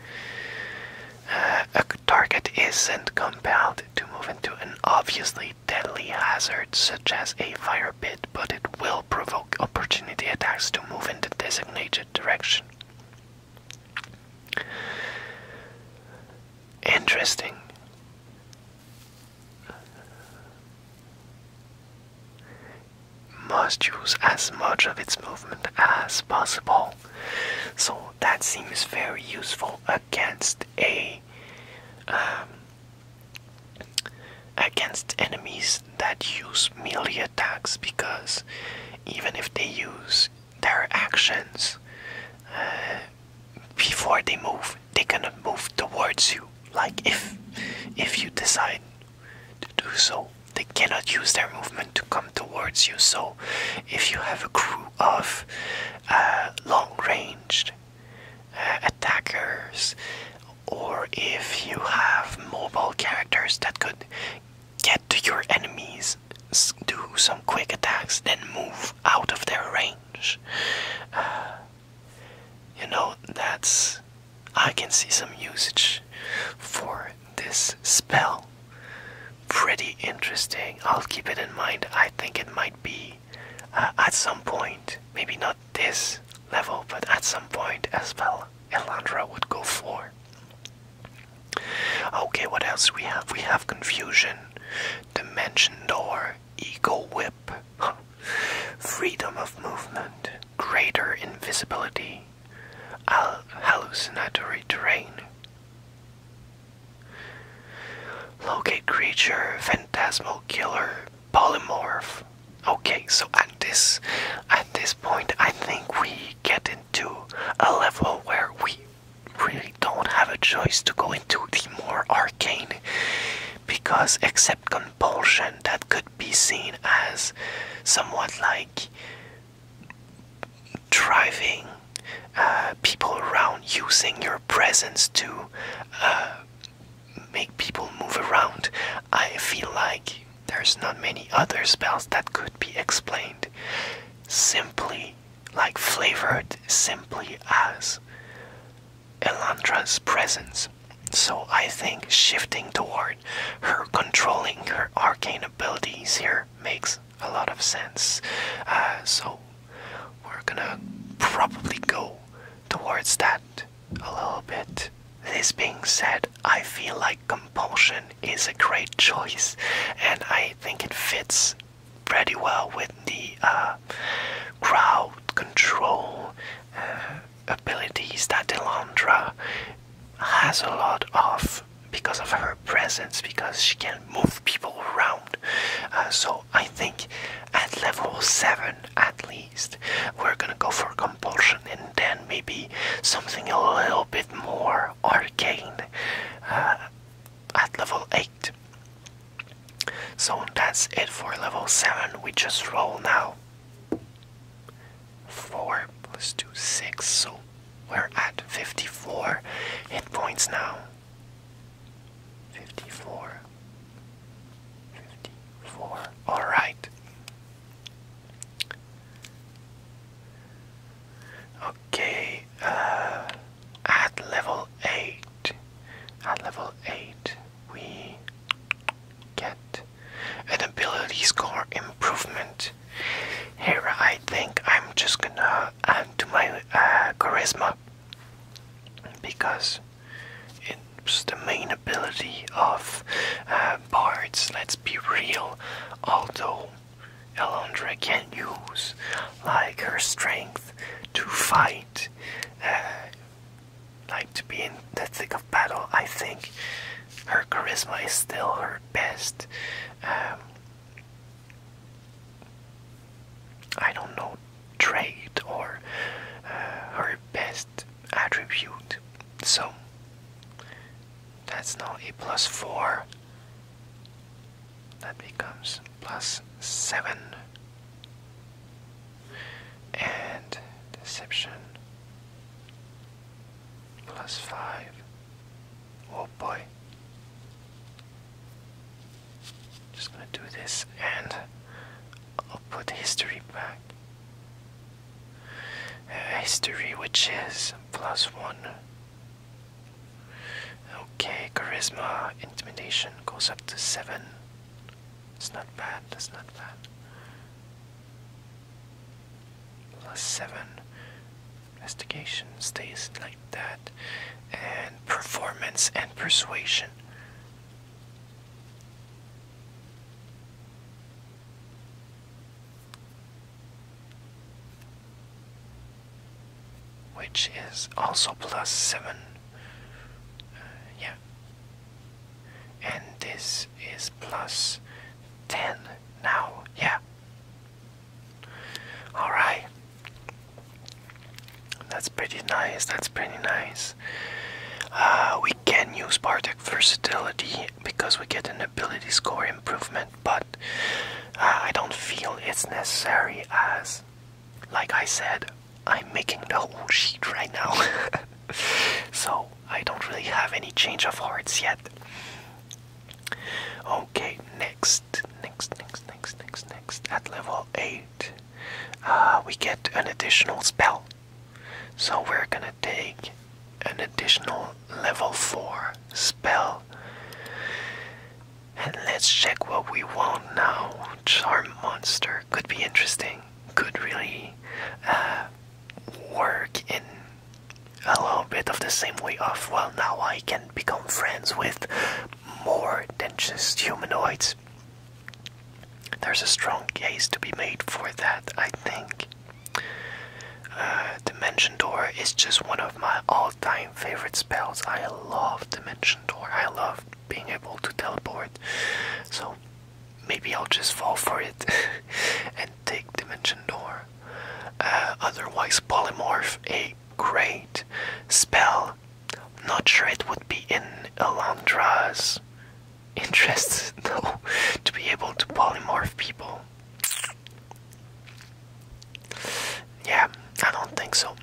a target isn't compelled to move into an obviously deadly hazard such as a fire pit, but it will provoke opportunity attacks to move in the designated direction. Interesting must use as much of its movement as possible. So that seems very useful against a um, against enemies that use melee attacks because even if they use their actions uh, before they move, they gonna move towards you. Like if if you decide to do so. They cannot use their movement to come towards you. So, if you have a crew of uh, long ranged uh, attackers, or if you have mobile characters that could get to your enemies, do some quick attacks, then move out of their range. Uh, you know, that's. I can see some usage for it this spell. Pretty interesting. I'll keep it in mind. I think it might be uh, at some point, maybe not this level, but at some point as well, Elandra would go for. Okay, what else we have? We have Confusion, Dimension Door, Ego Whip, Freedom of Movement, Greater Invisibility, hallucinatory terrain. Locate creature, phantasmal killer, polymorph. Okay, so at this at this point I think we get into a level where we really don't have a choice to go into the more arcane because except compulsion that could be seen as somewhat like driving uh, people around, using your presence to uh, make people move around. I feel like there's not many other spells that could be explained simply like flavored simply as Elandra's presence. So I think shifting toward her controlling her arcane abilities here makes a lot of sense. Uh, so we're gonna probably go towards that a little bit. This being said, I feel like compulsion is a great choice, and I think it fits pretty well with the uh, crowd control uh, abilities that Delandra has a lot of because of her presence because she can move people around uh, so i think at level 7 at least we're gonna go for compulsion and then maybe something a little bit more arcane uh, at level 8 so that's it for level 7 we just roll now 4 plus 2, 6. So we're at 54 hit points now. 54. Alright. Okay, uh, at level 8, at level 8, we get an ability score improvement here I think I'm just gonna add to my uh, charisma because it's the main ability of uh, bards let's be real although Elondra can use like her strength to fight uh, like to be in the thick of battle I think her charisma is still her best. Um, I don't know trait or uh, her best attribute, so that's now a plus four. That becomes plus seven. And deception plus five Oh boy. Just gonna do this and I'll put history back. Uh, history, which is plus one. Okay, charisma, intimidation goes up to seven. It's not bad, It's not bad plus 7. Investigation stays like that. And performance and persuasion. Which is also plus 7. Uh, yeah. And this is plus 10 now, yeah. Alright. That's pretty nice. That's pretty nice. Uh, we can use Bartek versatility because we get an ability score improvement, but uh, I don't feel it's necessary as, like I said, I'm making the whole sheet right now. *laughs* so I don't really have any change of hearts yet. Okay, next, next, next, next, next, next. At level 8, uh, we get an additional spell. So we're gonna take an additional level 4 spell. And let's check what we want now. Charm monster. Could be interesting. Could really uh, work in a little bit of the same way of well now I can become friends with more than just humanoids. There's a strong case to be made for that, I think. Uh, Dimension Door is just one of my all-time favorite spells. I love Dimension Door. I love being able to teleport. So maybe I'll just fall for it *laughs* and take Dimension Door. Uh, otherwise polymorph a great spell. Not sure it would be in Elandra's interest *laughs* though to be able to polymorph people. Yeah, I don't think so.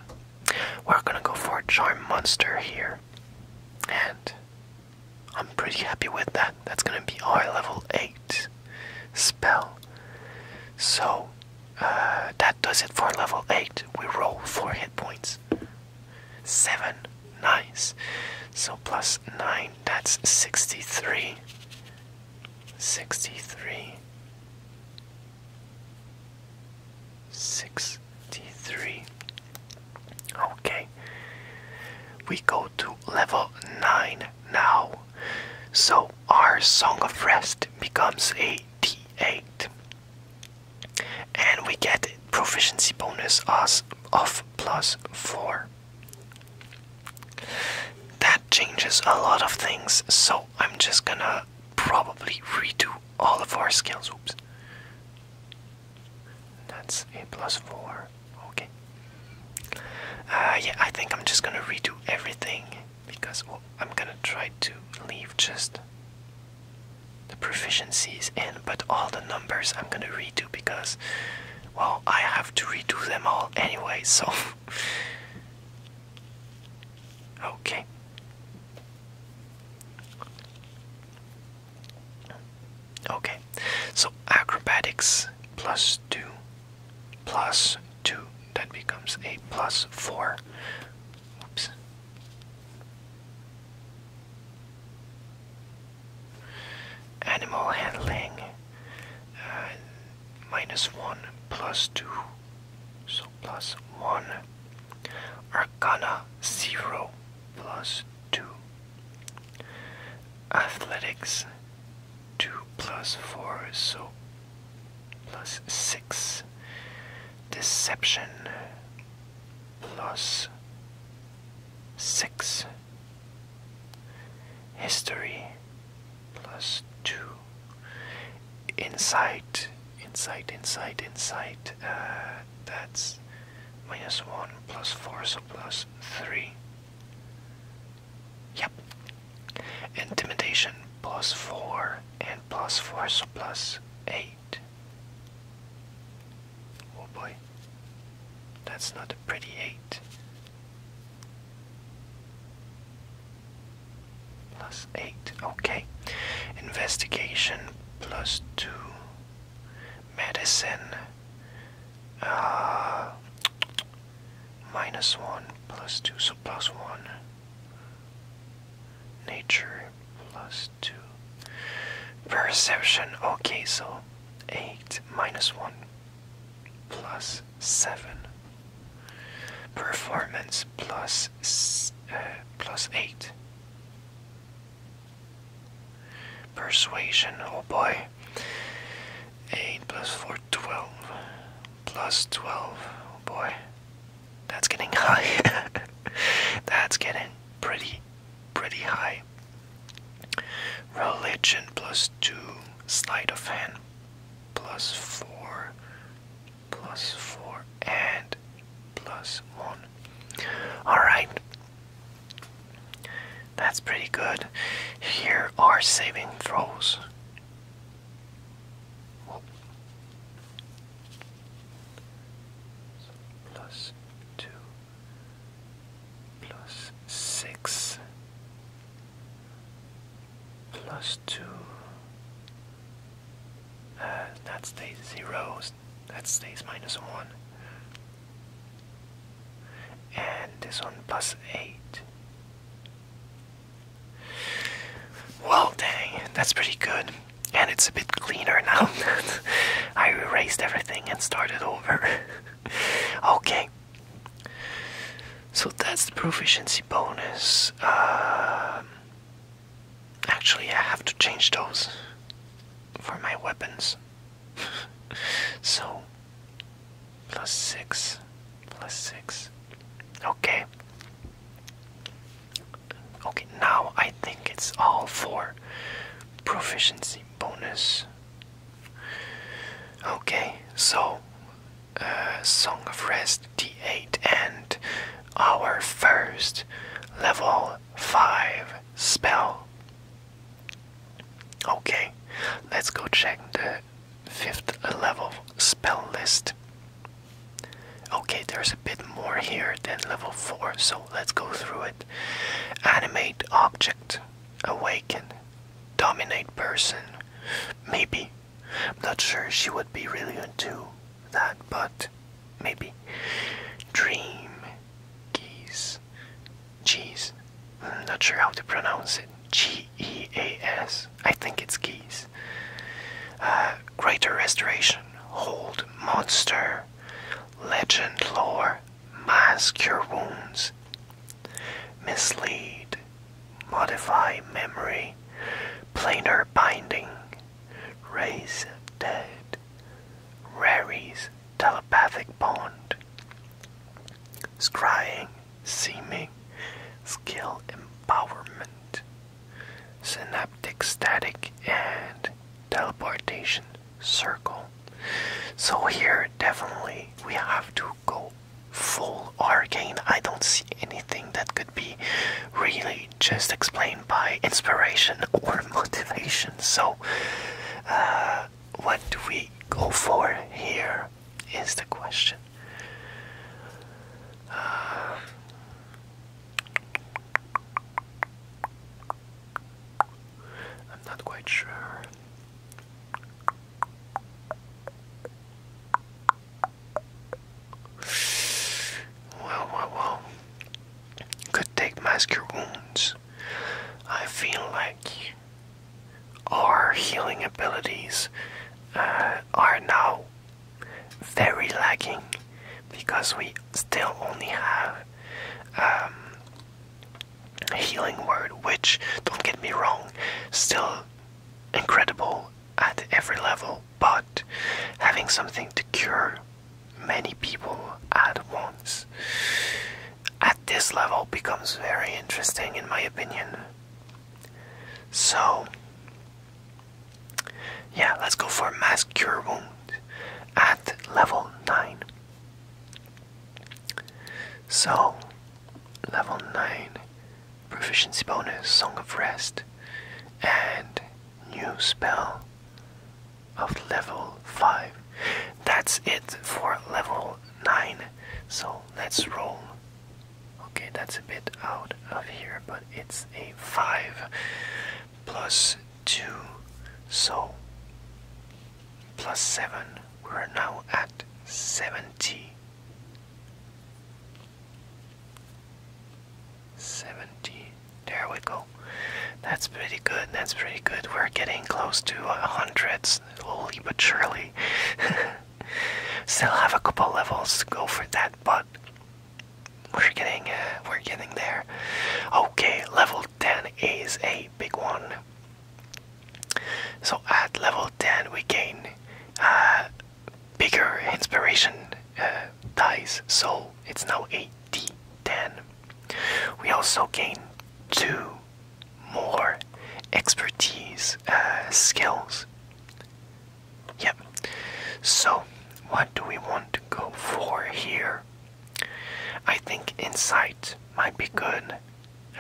We're gonna go for a charm monster here, and I'm pretty happy with that. That's gonna be our level 8 spell. So uh, that does it for level 8. We roll 4 hit points. 7, nice. So plus 9, that's 63. 63. 63. Okay. We go to level 9 now. So our Song of Rest becomes a d8. And we get proficiency bonus of plus 4. That changes a lot of things, so I'm just gonna probably redo all of our skills. Oops. That's a plus 4. Okay. Uh, yeah, I think I'm just gonna redo everything because I'm gonna try to leave just the proficiencies in, but all the numbers I'm gonna redo because, well, I have to redo them all anyway, so. *laughs* okay. Okay, so acrobatics plus two plus 2. That becomes a plus 4. Oops. Animal handling uh, minus 1 plus 2. So plus 1. Arcana 0 plus 2. Athletics 2 plus 4, so plus 6. Deception plus 6. History plus 2. Insight, insight, insight, insight. Uh, that's minus 1 plus 4, so plus 3. Yep. Intimidation plus 4 and plus 4, so plus 8. Oh boy. That's not a pretty 8. Plus 8, okay. Investigation plus 2. Medicine uh, minus 1 plus 2, so plus 1. Nature plus 2. Perception, okay, so 8 minus 1 plus 7. Performance uh, 8. Persuasion, oh boy. 8 plus 4 12 plus 12 oh boy that's getting *laughs* high that's getting pretty pretty high religion plus 2 sleight of hand plus 4 plus 4 and plus 1 all right that's pretty good here are saving throws plus two plus six plus two. Uh, that stays zero. That stays minus one. And this one plus eight. Well, dang, that's pretty good. And it's a bit cleaner now. *laughs* I erased everything and started over. *laughs* okay. So that's the proficiency bonus. Um, actually, I have to change those for my weapons. *laughs* so plus 6 plus 6 okay okay now i think it's all for proficiency bonus okay so uh, song of rest d8 and our first level 5 spell okay let's go check the fifth level spell list. Okay, there's a bit more here than level 4, so let's go through it. Animate object, awaken, dominate person. Maybe. I'm not sure she would be really into that, but maybe. Dream, geese, cheese, I'm not sure how to pronounce it. G E A S. I think it's geese. Uh, greater Restoration, Hold, Monster, Legend, Lore, Mask Your Wounds, Mislead, Modify Memory, Planar Binding, Raise Dead, Raries, Telepathic Bond, Scrying, seeming, skill empowerment, synaptic static, and teleportation circle. So here definitely we have to go full arcane. I don't see anything that could be really just explained by inspiration *laughs* or motivation. So uh, what do we go for here is the question. *sighs* I'm not quite sure. Well, well, well. Could take mask wounds. I feel like our healing abilities uh, are now very lacking because we still only have a um, healing word, which, don't get me wrong, still incredible at every level, but having something to cure many people at once at this level becomes very interesting in my opinion. So, yeah, let's go for mask cure wound at level 9. So, level 9 proficiency bonus, Song of Rest, and new spell of level 5. That's it for level 9. So, let's roll Okay, that's a bit out of here, but it's a 5 plus 2, so plus 7, we're now at 70. 70, there we go. That's pretty good, that's pretty good. We're getting close to hundreds, hundred, slowly but surely. *laughs* Still have a couple levels to go for that, but we're getting uh, we're getting there. Okay, level 10 is a big one. So at level 10 we gain uh, bigger inspiration uh, dice, so it's now a D10. We also gain two more expertise uh, skills. Yep. So, what do we want to go for here? I think insight might be good.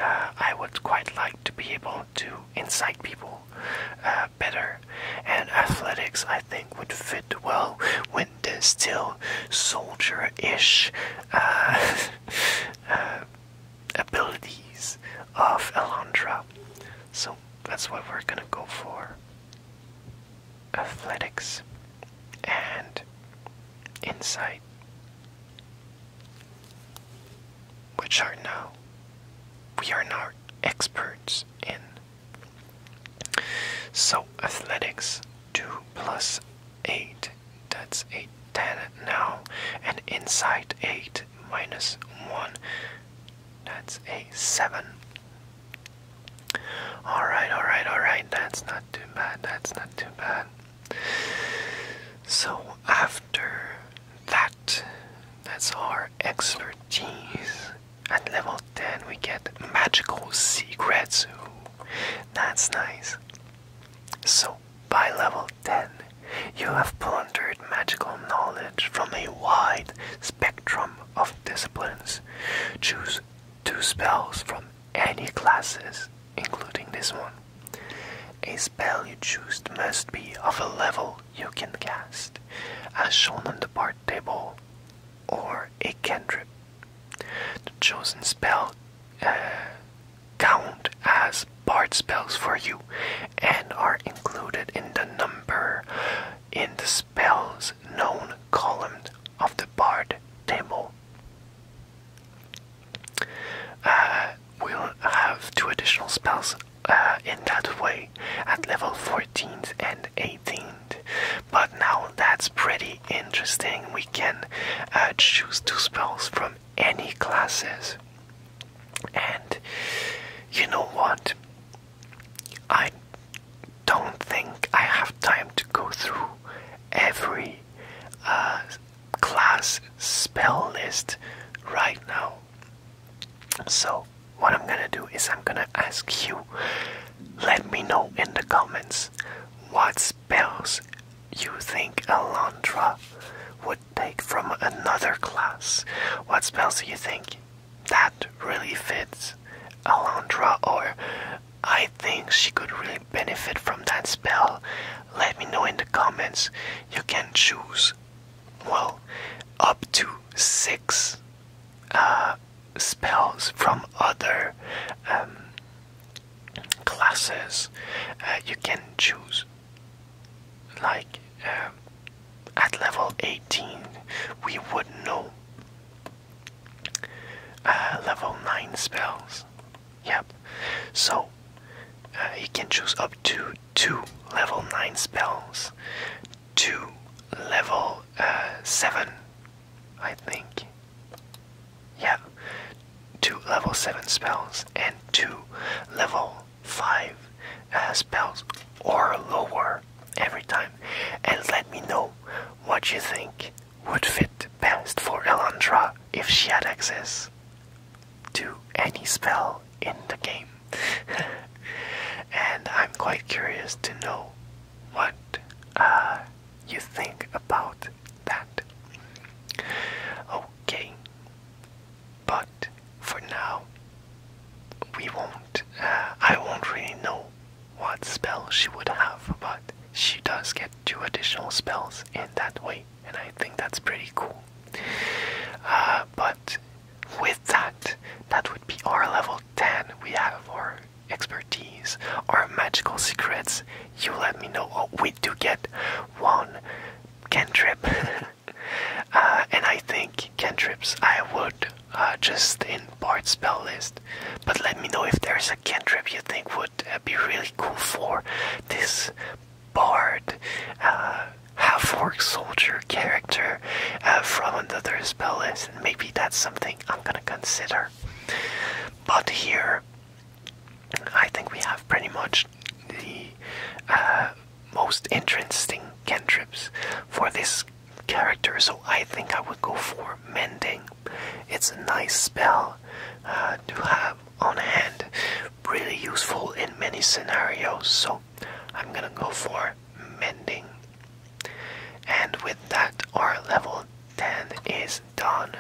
Uh, I would quite like to be able to insight people uh, better, and athletics I think would fit well When the still soldier ish *laughs* abilities of Elandra, So that's what we're gonna go for. Athletics and insight. Which are now we are now experts in. So athletics two plus eight, that's eight. Ten now and inside 8 minus 1 that's a 7 alright alright alright that's not too bad that's not too bad so after that that's our expertise at level 10 we get magical secrets that's nice so by level level 10, you have plundered magical knowledge from a wide spectrum of disciplines. Choose two spells from any classes, including this one. A spell you choose must be of a level you can cast, as shown on the bar table, or a cantrip. The chosen spell uh, count as bard spells for you and are included in the number in the spells known column of the bard table. Uh, we'll have two additional spells uh, in that way at level 14th and 18th. But now that's pretty interesting. We can uh, choose two spells from any classes. And you know what? I don't think I have time to go through every uh, class spell list right now. So, what I'm gonna do is I'm gonna ask you let me know in the comments what spells you think Alondra would take from another class. What spells do you think that really fits Alondra? Or I think she could really benefit from that spell. Let me know in the comments. You can choose, well, up to six uh, spells from other um, classes. Uh, you can choose like um, at level 18 we would know uh, level 9 spells yep so uh, you can choose up to two level 9 spells two level uh, 7 i think yeah two level 7 spells and two level five aspels uh, or lower every time and let me know what you think would fit best for Elandra if she had access to any spell in the game. *laughs* and I'm quite curious to know what uh, you think about that. Okay, but for now, we won't. Uh, I won't really know what spells she would have, but she does get two additional spells in that way, and I think that's pretty cool. Uh, but with that, that would be our level 10. We have our expertise, our magical secrets. You let me know. what oh, we do get one cantrip *laughs* Uh, and I think cantrips I would uh, just in part spell list. But let me know if there's a cantrip you think would uh, be really cool for this bard, half-orc soldier character uh, from another spell list, and maybe that's something I'm gonna consider. But here, I think we have pretty much the most interesting cantrips for this character, so I think I would go for Mending. It's a nice spell uh, to have on hand, really useful in many scenarios, so I'm gonna go for Mending. And with that, our level 10 is done.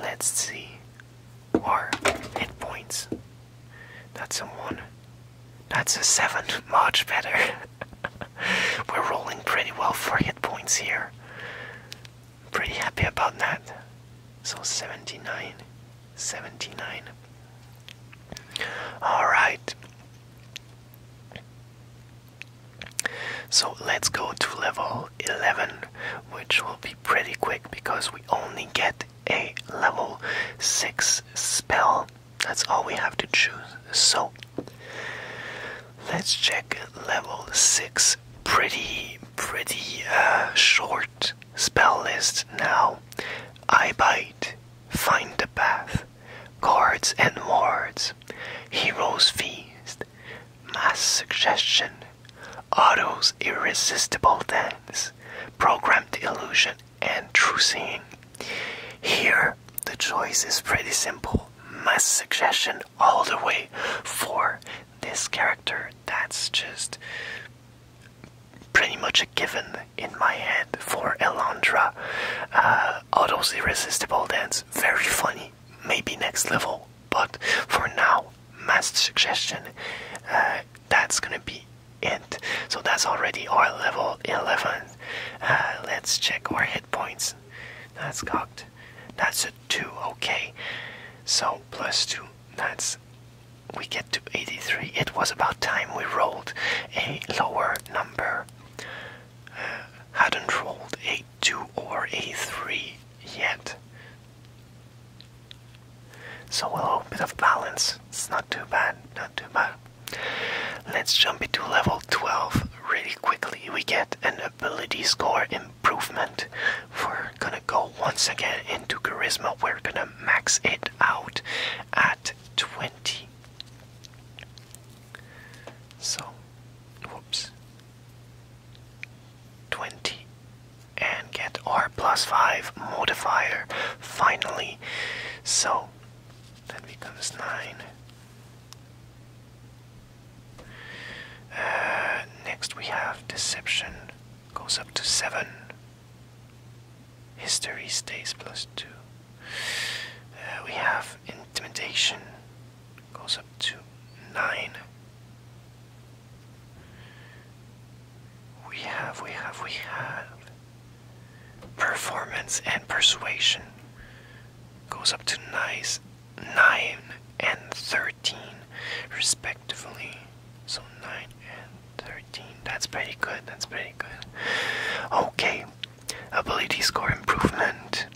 Let's see or hit points. That's a one. That's a seven. *laughs* Much better. *laughs* We're rolling pretty well for hit points here. Pretty happy about that. So 79. 79. Alright. So let's go to level 11, which will be pretty quick because we only get a level 6 spell. That's all we have to choose. So, let's check level 6. Pretty, pretty uh, short spell list now. I bite, find the path, guards and wards, heroes feast, mass suggestion, Otto's irresistible dance, programmed illusion, and true seeing. Here, the choice is pretty simple. Mass suggestion all the way for this character. That's just pretty much a given in my head for Elandra. All uh, those Irresistible Dance, very funny, maybe next level, but for now, mass suggestion, uh, that's gonna be int. So that's already our level 11. Uh, let's check our hit points. That's cocked. That's a 2, okay. So plus 2, that's. We get to 83. It was about time we rolled a lower number. Uh, hadn't rolled a 2 or a 3 yet. So a little bit of balance. It's not too bad, not too bad. Let's jump into level 12 really quickly. We get an ability score improvement. We're gonna go once again into charisma. We're gonna max it out at 20. So, whoops. 20 and get R 5 modifier finally. So that becomes 9. Uh, next we have deception, goes up to 7. History stays plus 2. Uh, we have intimidation, goes up to 9. We have, we have, we have. Performance and persuasion goes up to nice 9 and 13 respectively. So 9 and 13. That's pretty good. That's pretty good. Okay. Ability score improvement.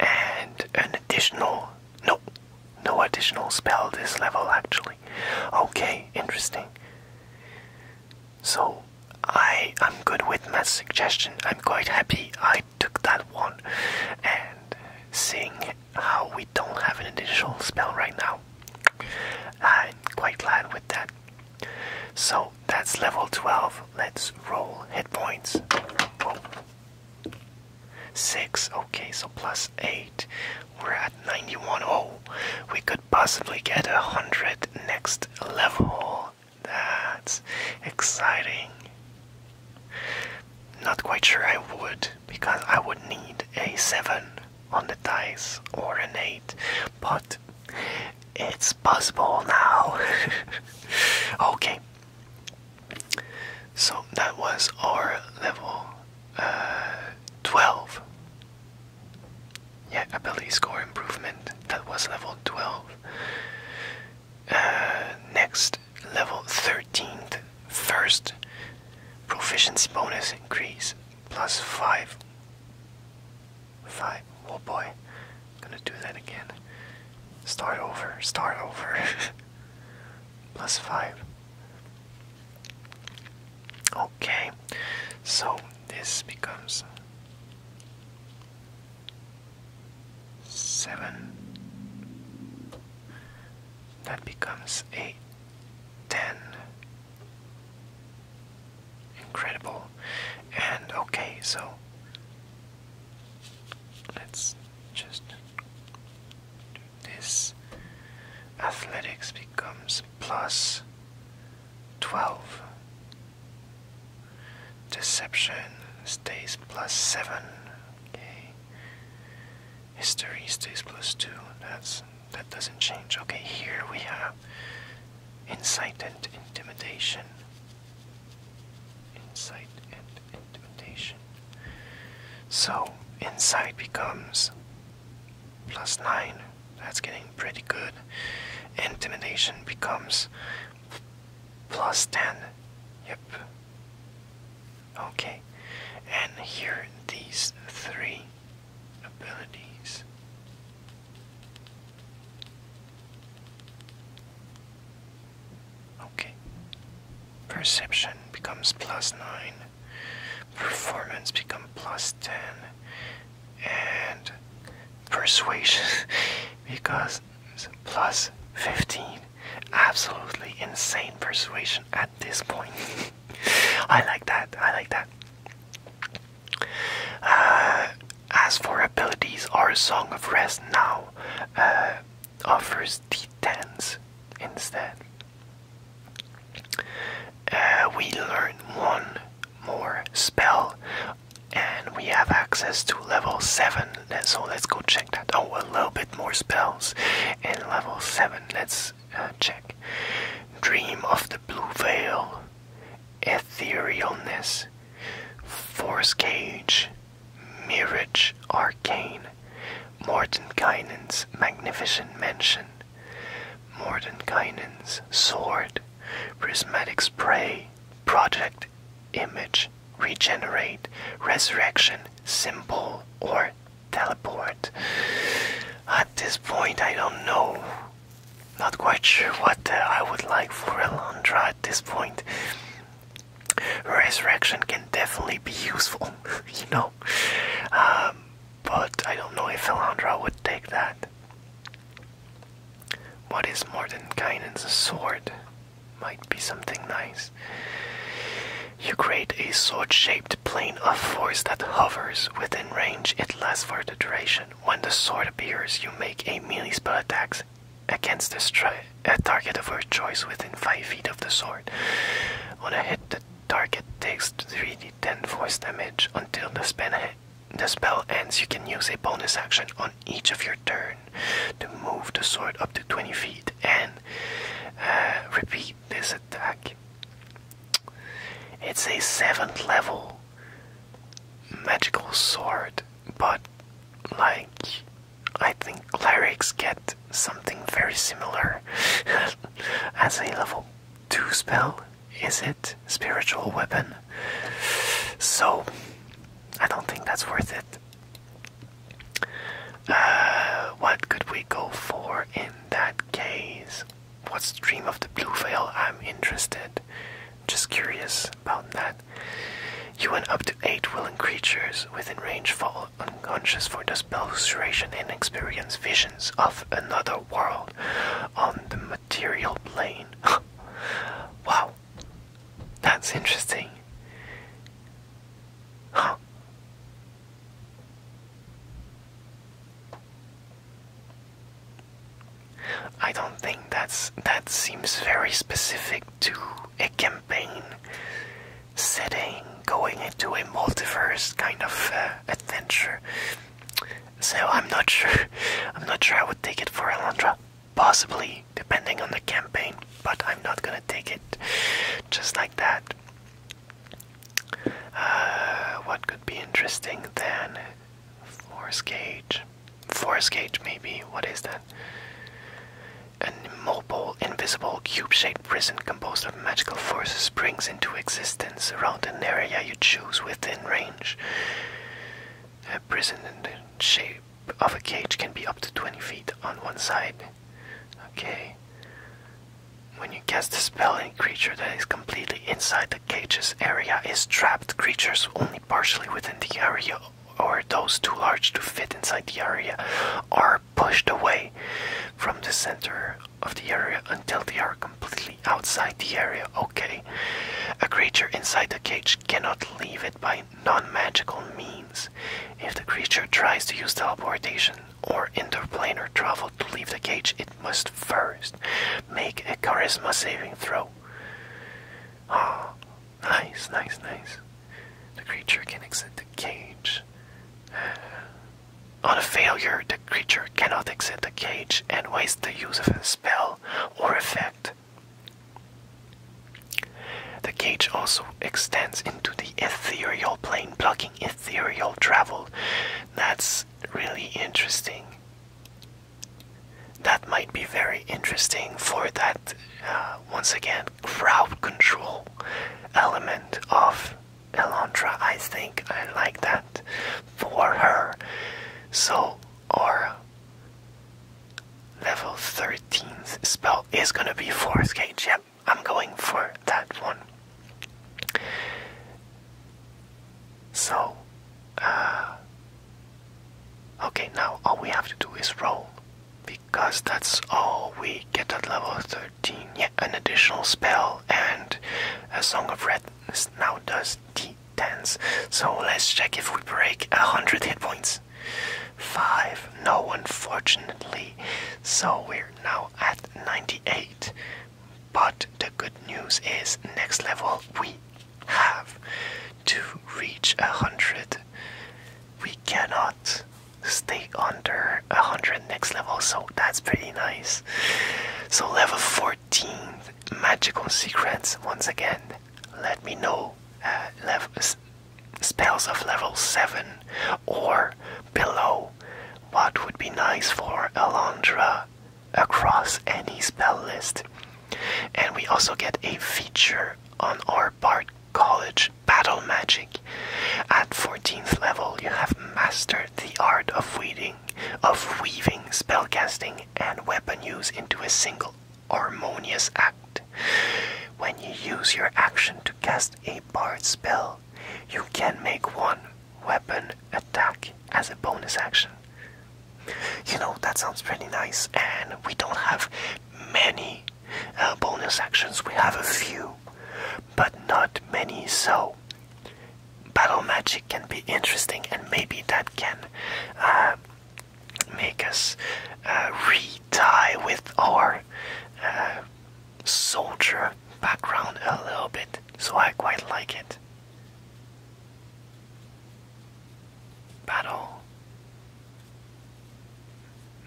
And an additional nope. No additional spell this level, actually. Okay, interesting. So, I am good with that suggestion. I'm quite happy I took that one. And uh, seeing how we don't have an additional spell right now, I'm quite glad with that. So, that's level 12. Let's roll hit points. 6, okay, so plus minus 8. We're at 91. Oh, we could possibly get a 100 next level. That's exciting. Not quite sure I would, because I would need a 7 on the dice or an 8, but it's possible now. *laughs* okay. So that was our level uh, 12. Yeah, ability score improvement. That was level 12. Uh, next, level 13th. First, proficiency bonus increase. Plus 5. 5. Oh boy. I'm gonna do that again. Start over. Start over. *laughs* plus 5. Okay, so this becomes seven. That becomes a ten. Incredible. And okay, so let's just this athletics becomes plus 12. Deception stays plus 7. Okay. History stays plus 2. That's that doesn't change. Okay, here we have insight and intimidation. Insight and intimidation. So insight becomes plus 9. That's getting pretty good. Intimidation becomes plus 10. Yep. Okay. And here these three abilities. Okay. Perception becomes plus 9 performance become plus 10 and persuasion *laughs* because plus 15 absolutely insane persuasion at this point *laughs* i like that i like that uh, as for abilities our song of rest now uh, offers d10s instead uh, we learn one more spell and we have access to level 7 so let's go check that oh a little bit more spells in level 7 let's uh, check dream of the blue veil etherealness force cage mirage arcane morton guidance magnificent mansion Mordenkainen's sword, prismatic spray, project, image, regenerate, resurrection, symbol, or teleport. At this point, I don't know. Not quite sure what uh, I would like for Alondra at this point. Resurrection can definitely be useful, *laughs* you know. Um, but I don't know if Elandra would take that. What is more than Mordenkainen's sword? Might be something nice. You create a sword shaped plane of force that hovers within range. It lasts for the duration. When the sword appears, you make a melee spell attack against a target of your choice within 5 feet of the sword. On a hit, the target takes 3d deal 10 force damage until the spell, ends. You can use a bonus action on each of your turn to move the sword up to 20 feet and uh, repeat this attack. It's a 7th level magical sword, but like I think clerics get something very similar *laughs* as a level to spell? Is it spiritual weapon? So, I don't think that's worth it. Uh, what could we go for in that case? What's Dream of the Blue Veil? I'm interested. Just curious about that. You and up to eight willing creatures within range fall unconscious for the spell's and experience visions of another world on the material plane. *laughs* wow, that's interesting. I don't think that's that seems very specific to a campaign setting going into a multiverse kind of uh, adventure. So I'm not sure. *laughs* I'm not sure I would take it for Alondra. Possibly, depending on the campaign, but I'm not gonna take it just like that. Uh, what could be interesting then? Force gauge. Force gauge, maybe. What is that? An immobile, invisible, cube shaped prison composed magical force springs into existence around an area you choose within range. A prison in the shape of a cage can be up to 20 feet on one side. Okay. When you cast a spell, any creature that is completely inside the cage's area is trapped. Creatures only partially within the area or those too large to fit inside the area are pushed away from the center of the area until they are completely outside the area, okay? A creature inside the cage cannot leave it by non magical means. If the creature tries to use teleportation or interplanar travel to leave the cage, it must first make a charisma saving throw. Ah, oh, nice, nice, nice. The creature can exit the cage. On failure, the creature cannot exit the cage and waste the use of a spell or effect. The cage also extends into the ethereal plane, blocking ethereal travel. That's really interesting. That might be very interesting for that, uh, once again, crowd control element of Elantra, I think I like that for her. So our level 13th spell is gonna be Force Cage. Yep, I'm going for that one. So, uh, okay, now all we have to do is roll because that's all we get at level 13 an additional spell, and a Song of Redness now does d10s. So let's check if we break 100 hit points. 5, no, unfortunately. So we're now at 98. But the good news is, next level we have to reach 100. We cannot stay under 100 next level, so that's pretty nice. So, level 14 magical secrets. Once again, let me know uh, spells of level 7 or below. What would be nice for Elandra across any spell list? And we also get a feature on our Bard College Battle Magic. At 14th level, you have mastered the art of weeding of weaving spellcasting and weapon use into a single harmonious act. When you use your action to cast a bard spell, you can make one weapon attack as a bonus action. You know, that sounds pretty nice, and we don't have many uh, bonus actions, we have a few, but not many, so battle magic can be interesting, and maybe that can uh, make us uh, re-tie with our uh, soldier background a little bit. So I quite like it. Battle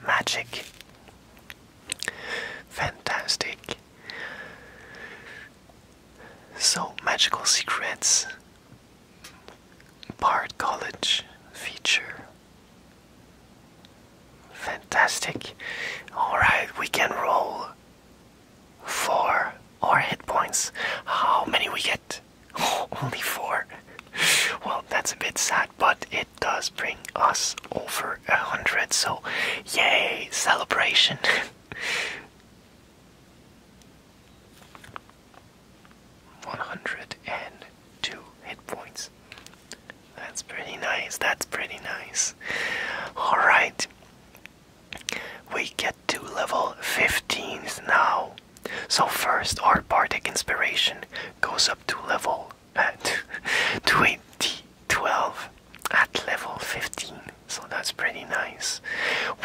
magic. Fantastic. So, Magical Secrets, Part College feature. Fantastic. Alright, we can roll four or hit points. How many we get? *laughs* only four. *laughs* Well, that's a bit sad, but it does bring us over a hundred, so yay, celebration! *laughs* 102 hit points. That's pretty nice. That's pretty nice. Alright. We get to level 15s now. So, first, our bardic inspiration goes up to level uh, at *laughs* 20. 12 at level 15 so that's pretty nice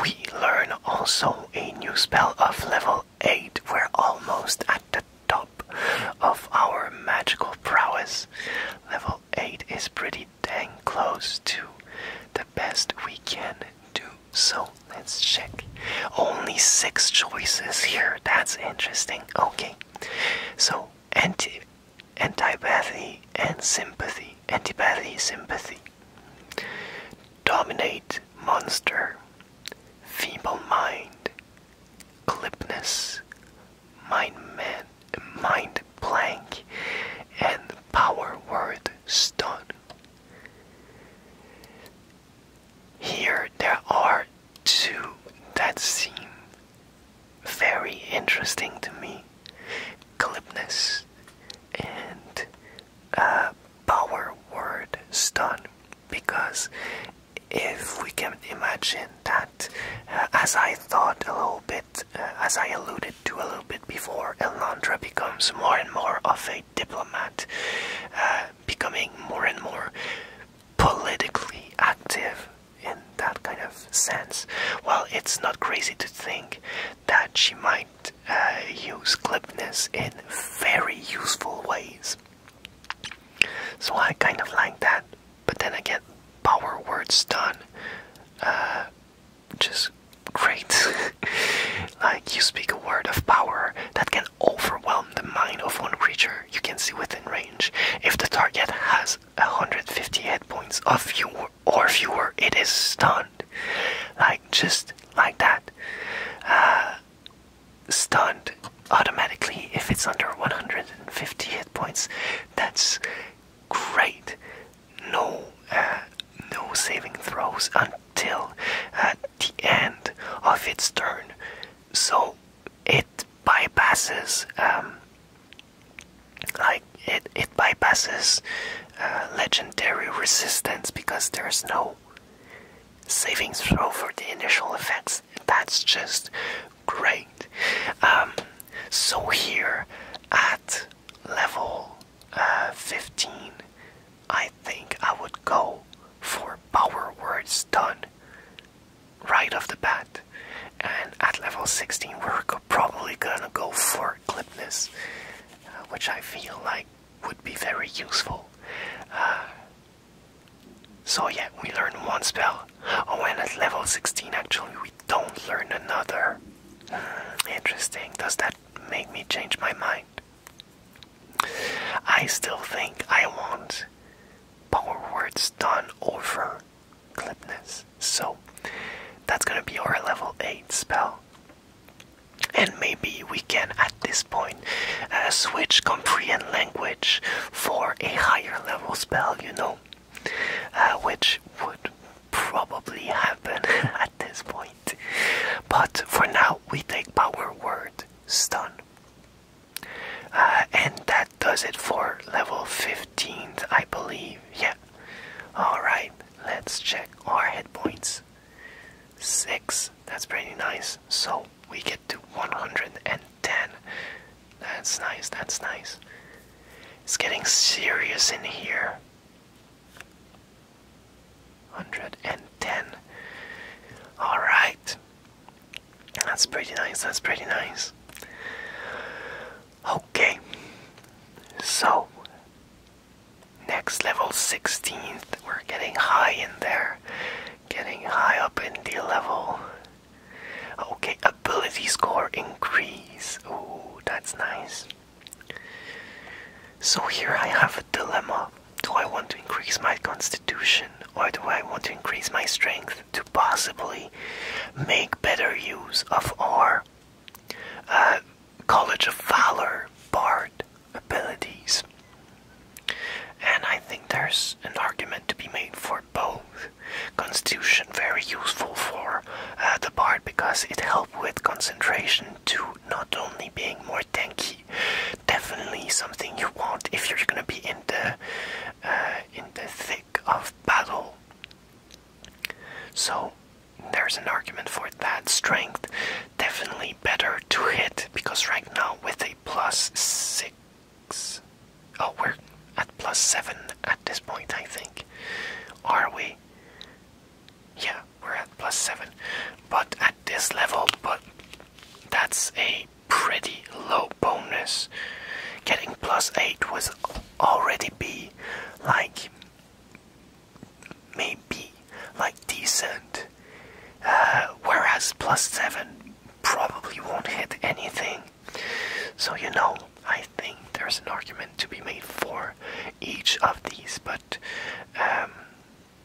we learn also a new spell of level 8 we're almost at the top of our magical prowess level 8 is pretty dang close to the best we can do so let's check only six choices here that's interesting okay so anti antipathy and sympathy, antipathy, sympathy. Dominate, monster. Feeble mind. Clipness. Mind man, mind blank. And power word stun. Here there are two that seem very interesting to me. Glibness and uh, power word stun because if we can imagine that uh, as I thought a little bit uh, as I alluded to a little bit before Elandra becomes more and more of a diplomat uh, becoming more and more politically active in that kind of sense. Well, it's not crazy to think that she might uh, use glibness in very useful ways. So I kind of like that. But then again, power words done uh, is great. *laughs* like you speak a word of power that can overwhelm the mind of one creature you can see within range. If the target has 150 hit points of your or, if you were, it is stunned. Like, just like that. Uh, stunned automatically if it's under 150 hit points. That's great. No, uh, no saving throws until uh, the end of its turn. So it bypasses um, like it it bypasses uh, legendary resistance because there's no savings throw for the initial effects. That's just great. Um, so here at level uh, 15, I think I would go for power words done right off the bat. And at level 16, we're probably gonna go for Glibness, uh, which I feel like would be very useful. Uh, so yeah, we learn one spell. Oh, and at level 16, actually, we don't learn another. Hmm, interesting. Does that make me change my mind? I still think I want Power Words done over Glibness. So that's gonna be our level 8 spell. And maybe we can at this point uh, switch Comprehend Language for a higher level spell, you know, uh, which would probably happen *laughs* at this point. But for now, we take Power Word Stun. Uh, and that does it for level 15, I believe. Yeah, Alright, let's check our hit points. 6, that's pretty nice. So we get to 110. That's nice, that's nice. It's getting serious in here. 110. Alright. That's pretty nice, that's pretty nice. Okay, so next level 16th, we're getting high in there, getting high up in the level. Okay, ability score increase. Ooh, that's nice. So here I have a dilemma. Do I want to increase my constitution or do I want to increase my strength to possibly make better use of R? Uh, College of Valor, Bard abilities. And I think there's an argument to be made for both. Constitution very useful for uh, the bard because it helps with concentration to not only being more tanky, definitely something you want if you're gonna be in the uh, in the thick of battle. So there's an argument for that strength. Definitely better to hit because right now with a plus six, oh, we're at plus seven at this point, I think. Are we? Yeah, we're at plus seven, but at this level, but that's a pretty low bonus. Getting plus eight was already be like maybe like decent uh, whereas plus 7 probably won't hit anything so you know i think there's an argument to be made for each of these but um,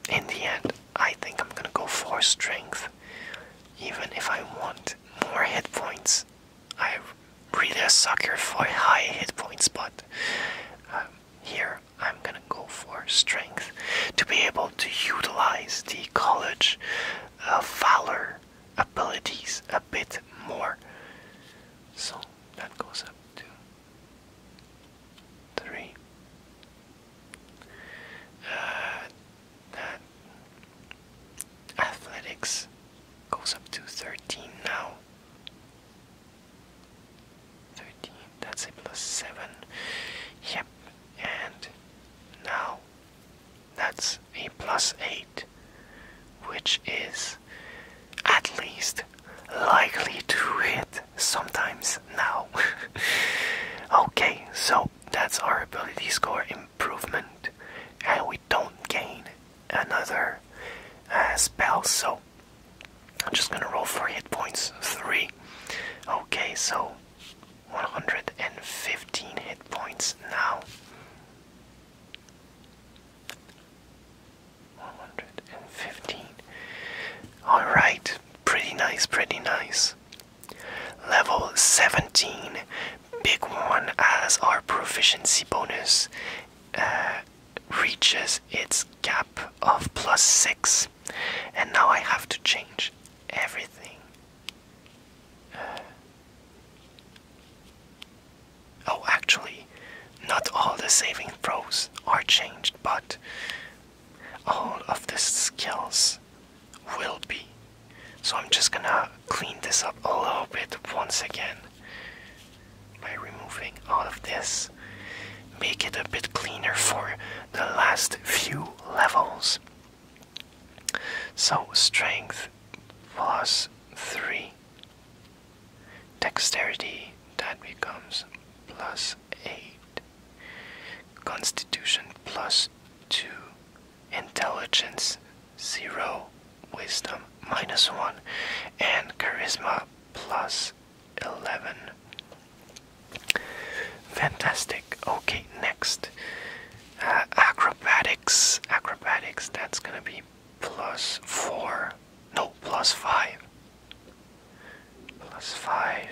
in the end i think i'm gonna go for strength even if i want more hit points i really suck sucker for high hit points, but um, here I'm gonna go for strength to be able to utilize the college uh, valor abilities a bit more. So that goes up to three. Uh, that athletics goes up to 13 now. 13 that's a plus 7 yep and now that's a plus 8 which is at least likely to hit sometimes now *laughs* okay so that's our ability score improvement and we don't gain another uh, spell. So I'm just gonna roll for hit points. Three. Okay, so 115 hit points now. 115. Alright, pretty nice, pretty nice. Level 17, big one as our proficiency bonus reaches its gap of plus 6 and now I have to change everything oh actually not all the saving throws are changed but all of the skills will be so I'm just gonna clean this up a little bit once again by removing all of this. Make it a bit cleaner for the last few levels. So, strength plus 3. Dexterity, that becomes plus 8. Constitution plus 2. Intelligence 0, wisdom minus 1, and charisma plus 11. Fantastic. Okay, next. Uh, acrobatics. Acrobatics, that's gonna be plus 4. No, plus 5. Plus 5.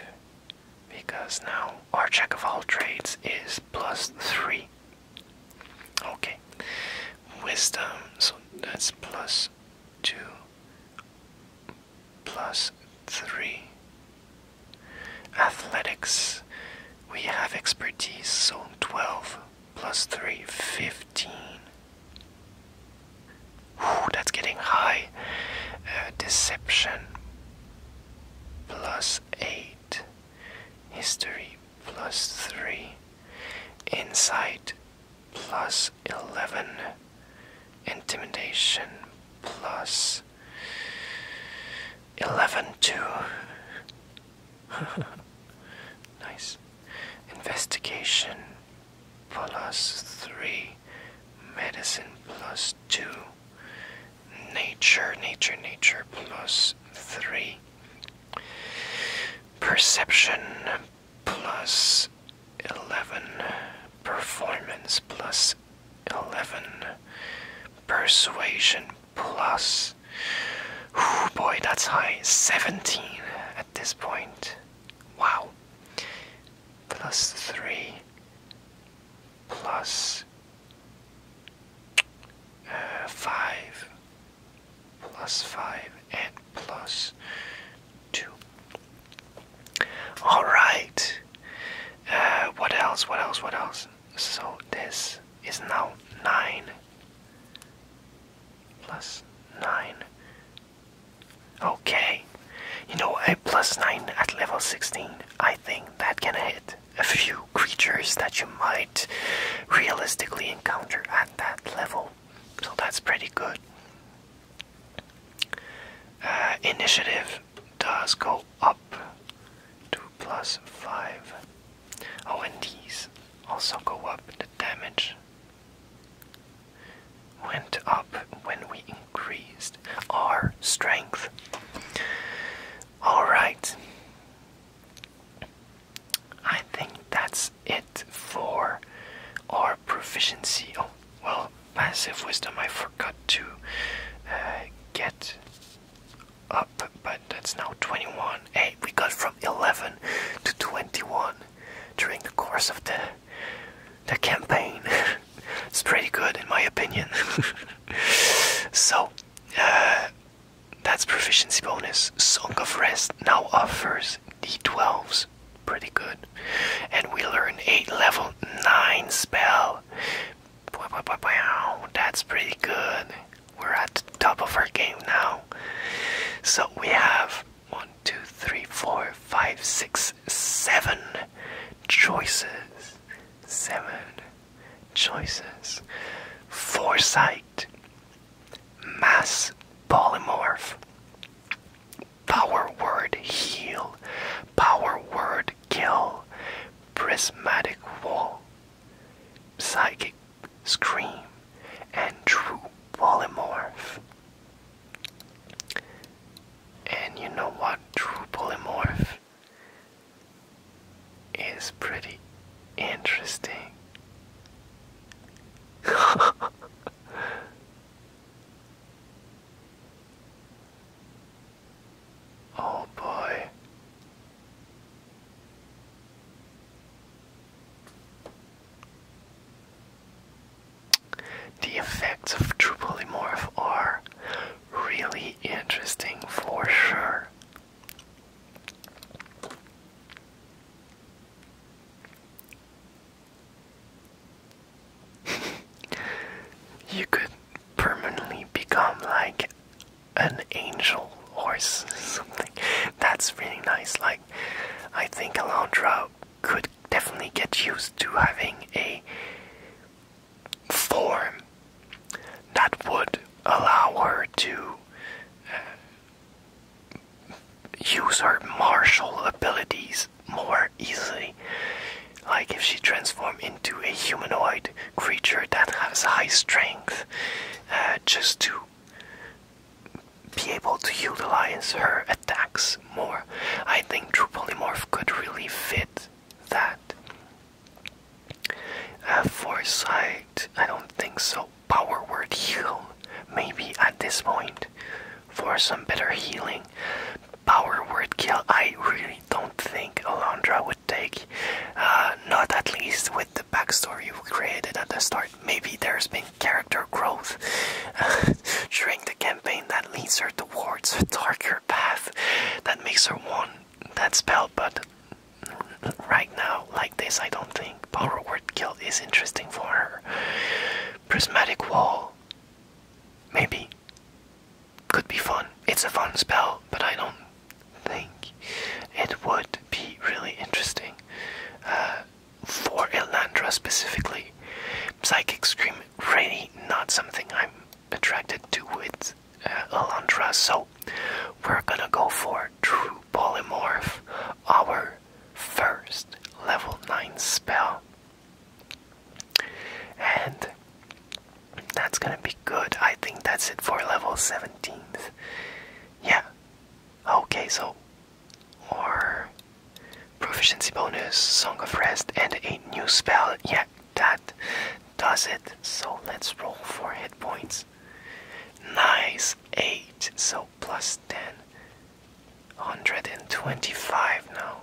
Because now our check of all trades is plus 3. Okay. Wisdom, so that's plus 2 plus 3. Athletics, we have expertise, so 12 plus three, fifteen. Ooh, that's getting high. Uh, deception plus 8. History plus 3, insight plus 11, intimidation plus 11 too. *laughs* nice. Investigation plus 3, medicine plus 2, nature, nature, nature plus 3. Perception plus 11, performance plus 11, persuasion plus. Oh boy, that's high. 17 at this point. Wow. Plus 3, uh, 5, plus 5, and plus 2. Alright. Uh, what else? What else? What else? So this is now 9 plus 9. Okay. You know, a plus 9 at level 16, I think that can hit a few creatures that you might realistically encounter at that level so that's pretty good. Uh, initiative does go up to 5. Oh, and these also go up. The damage went up when we increased our strength. Alright, I think that's it for our proficiency. Oh, well, passive wisdom I forgot to uh, get up, but it's now 21. Hey, we got from 11 to 21 during the course of the the campaign. *laughs* it's pretty good in my opinion. *laughs* so, uh, that's proficiency bonus. Song of Rest now offers d12s. Pretty good. And we learn a level 9 spell. That's pretty good. We're at the top of our game now. So we have 1, 2, 3, 4, 5, 6, 7 choices. 7 choices. Foresight mass polymorph, power word heal, power word kill, prismatic wall, psychic scream, and true polymorph. And you know what? True polymorph is pretty interesting. *laughs* oh boy. The effects of true polymorph are really interesting for sure. *laughs* you could permanently become like an angel or something. That's really nice. Like, I think Alondra could definitely get used to having a form that would allow her to uh, use her martial abilities more easily. Like if she transformed into a humanoid creature that has high strength, uh, just to be able to utilize her attacks more. I think True Polymorph could really fit that. Uh, foresight, I don't think so power word heal maybe at this point for some better healing. Power word kill I really don't think Alondra would take. Uh, not at least with the backstory you created at the start. Maybe there's been character growth *laughs* during the campaign that leads her towards a darker path that makes her want that spell, but right now, like this, I don't think think Bulwark Guild is interesting for her. Prismatic Wall, maybe, could be fun. It's a fun spell, but I don't think it would be really interesting uh, for Elandra specifically. Psychic Scream, really not something I'm attracted to with uh, Elandra, so we're gonna go for True polymorph our first level 9 spell. And that's gonna be good. I think that's it for level 17th. Yeah. Okay, so. Or. Proficiency bonus, Song of Rest, and a new spell. Yeah, that does it. So let's roll for hit points nice. Nice 8, so plus 10. 125 now.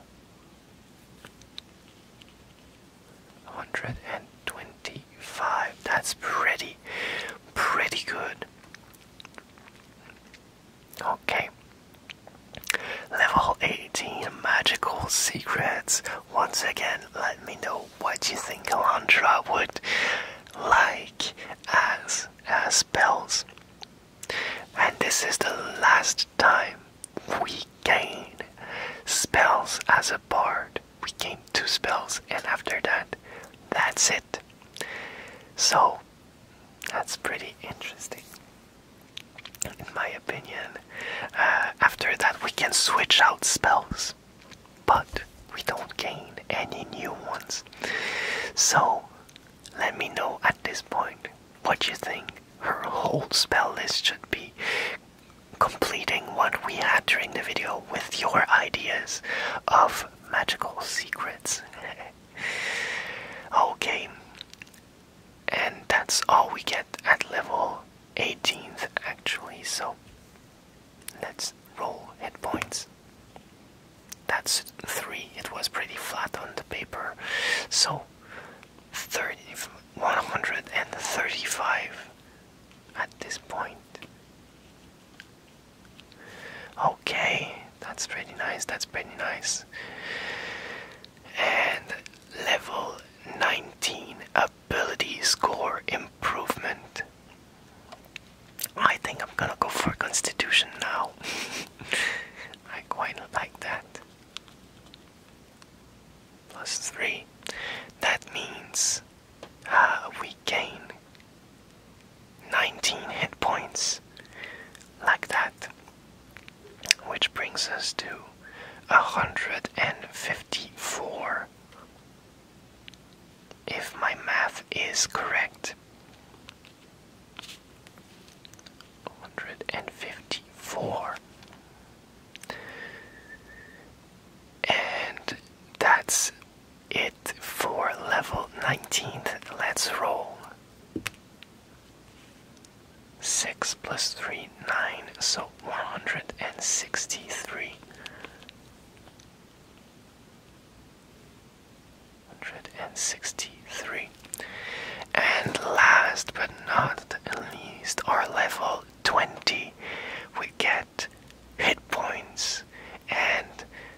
125. That's pretty, pretty good. Okay. Level 18 Magical Secrets. Once again, let me know what you think Alondra would like as uh, spells. And this is the last time we gain spells as a bard. We gain two spells, and after that, that's it. So, that's pretty interesting, in my opinion. Uh, after that, we can switch out spells but we don't gain any new ones. So let me know at this point what you think her whole spell list should be. Completing what we had during the video with your ideas of magical secrets. *laughs* okay, and that's all we get at level 18th actually, so Let's roll hit points. That's three. It was pretty flat on the paper. So, 30, 135 at this point. Okay, that's pretty nice. That's pretty nice. And level 19 ability score improvement. I think I'm gonna go for Constitution now. *laughs* I quite like that. Plus three. That means uh, we gain 19 hit points like that, which brings us to 154. If my math is correct, hundred and fifty-four. And that's it for level 19th. Let's roll. 6 plus 3, 9, so 163. 163. And last but not least, our level 20, we get hit points and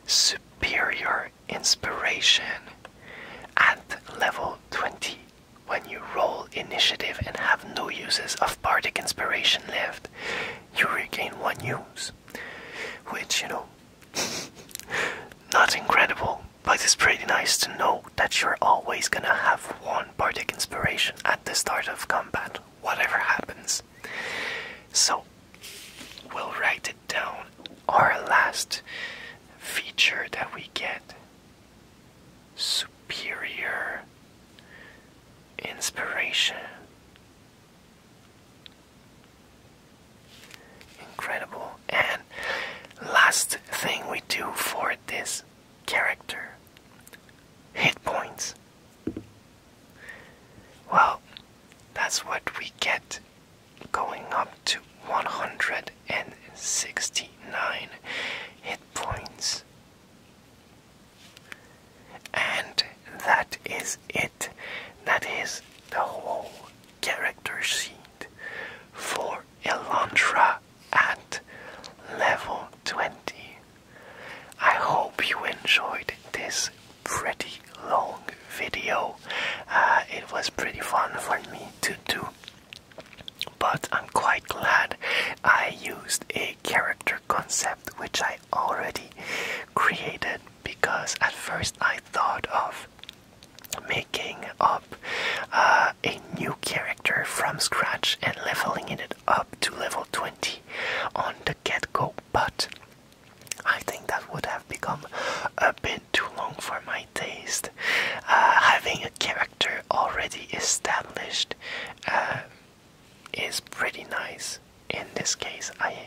superior inspiration at level 20 when you roll initiative and have no uses of bardic inspiration left you regain one use which you know *laughs* Not incredible, but it's pretty nice to know that you're always gonna have one bardic inspiration at the start of combat, whatever happens. So, we'll write it down. Our last feature that we get superior inspiration. Incredible. And last thing we do for this character hit points. Well, that's what we get going up to 169 hit points. And that is it. That is the whole character sheet for Elantra at level 20. I hope you enjoyed this pretty long video. Uh, it was pretty fun for me to do. But I'm quite glad I used a character concept which I already created because at first I thought of making up uh, a new character from scratch and leveling it up to level 20 on the get go, but I think that would have become a bit too long for my taste. Uh, having a character already established uh, is pretty nice. In this case, I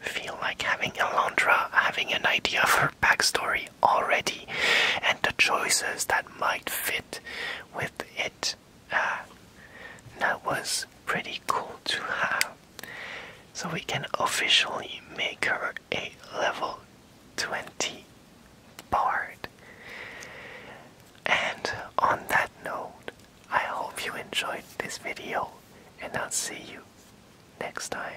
feel like having Elandra having an idea of her backstory already and the choices that might fit with it. Uh, that was pretty cool to have. So we can officially make her a level 20 bard. And on that note, I hope you enjoyed this video and I'll see you next time.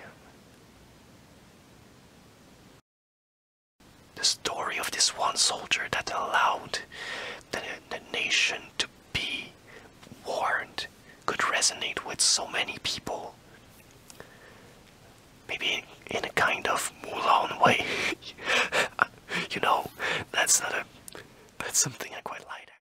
The story of this one soldier that allowed the, nation to be warned could resonate with so many people. Maybe in, in a kind of Mulan way. *laughs* you know, that's not a. That's something I quite like.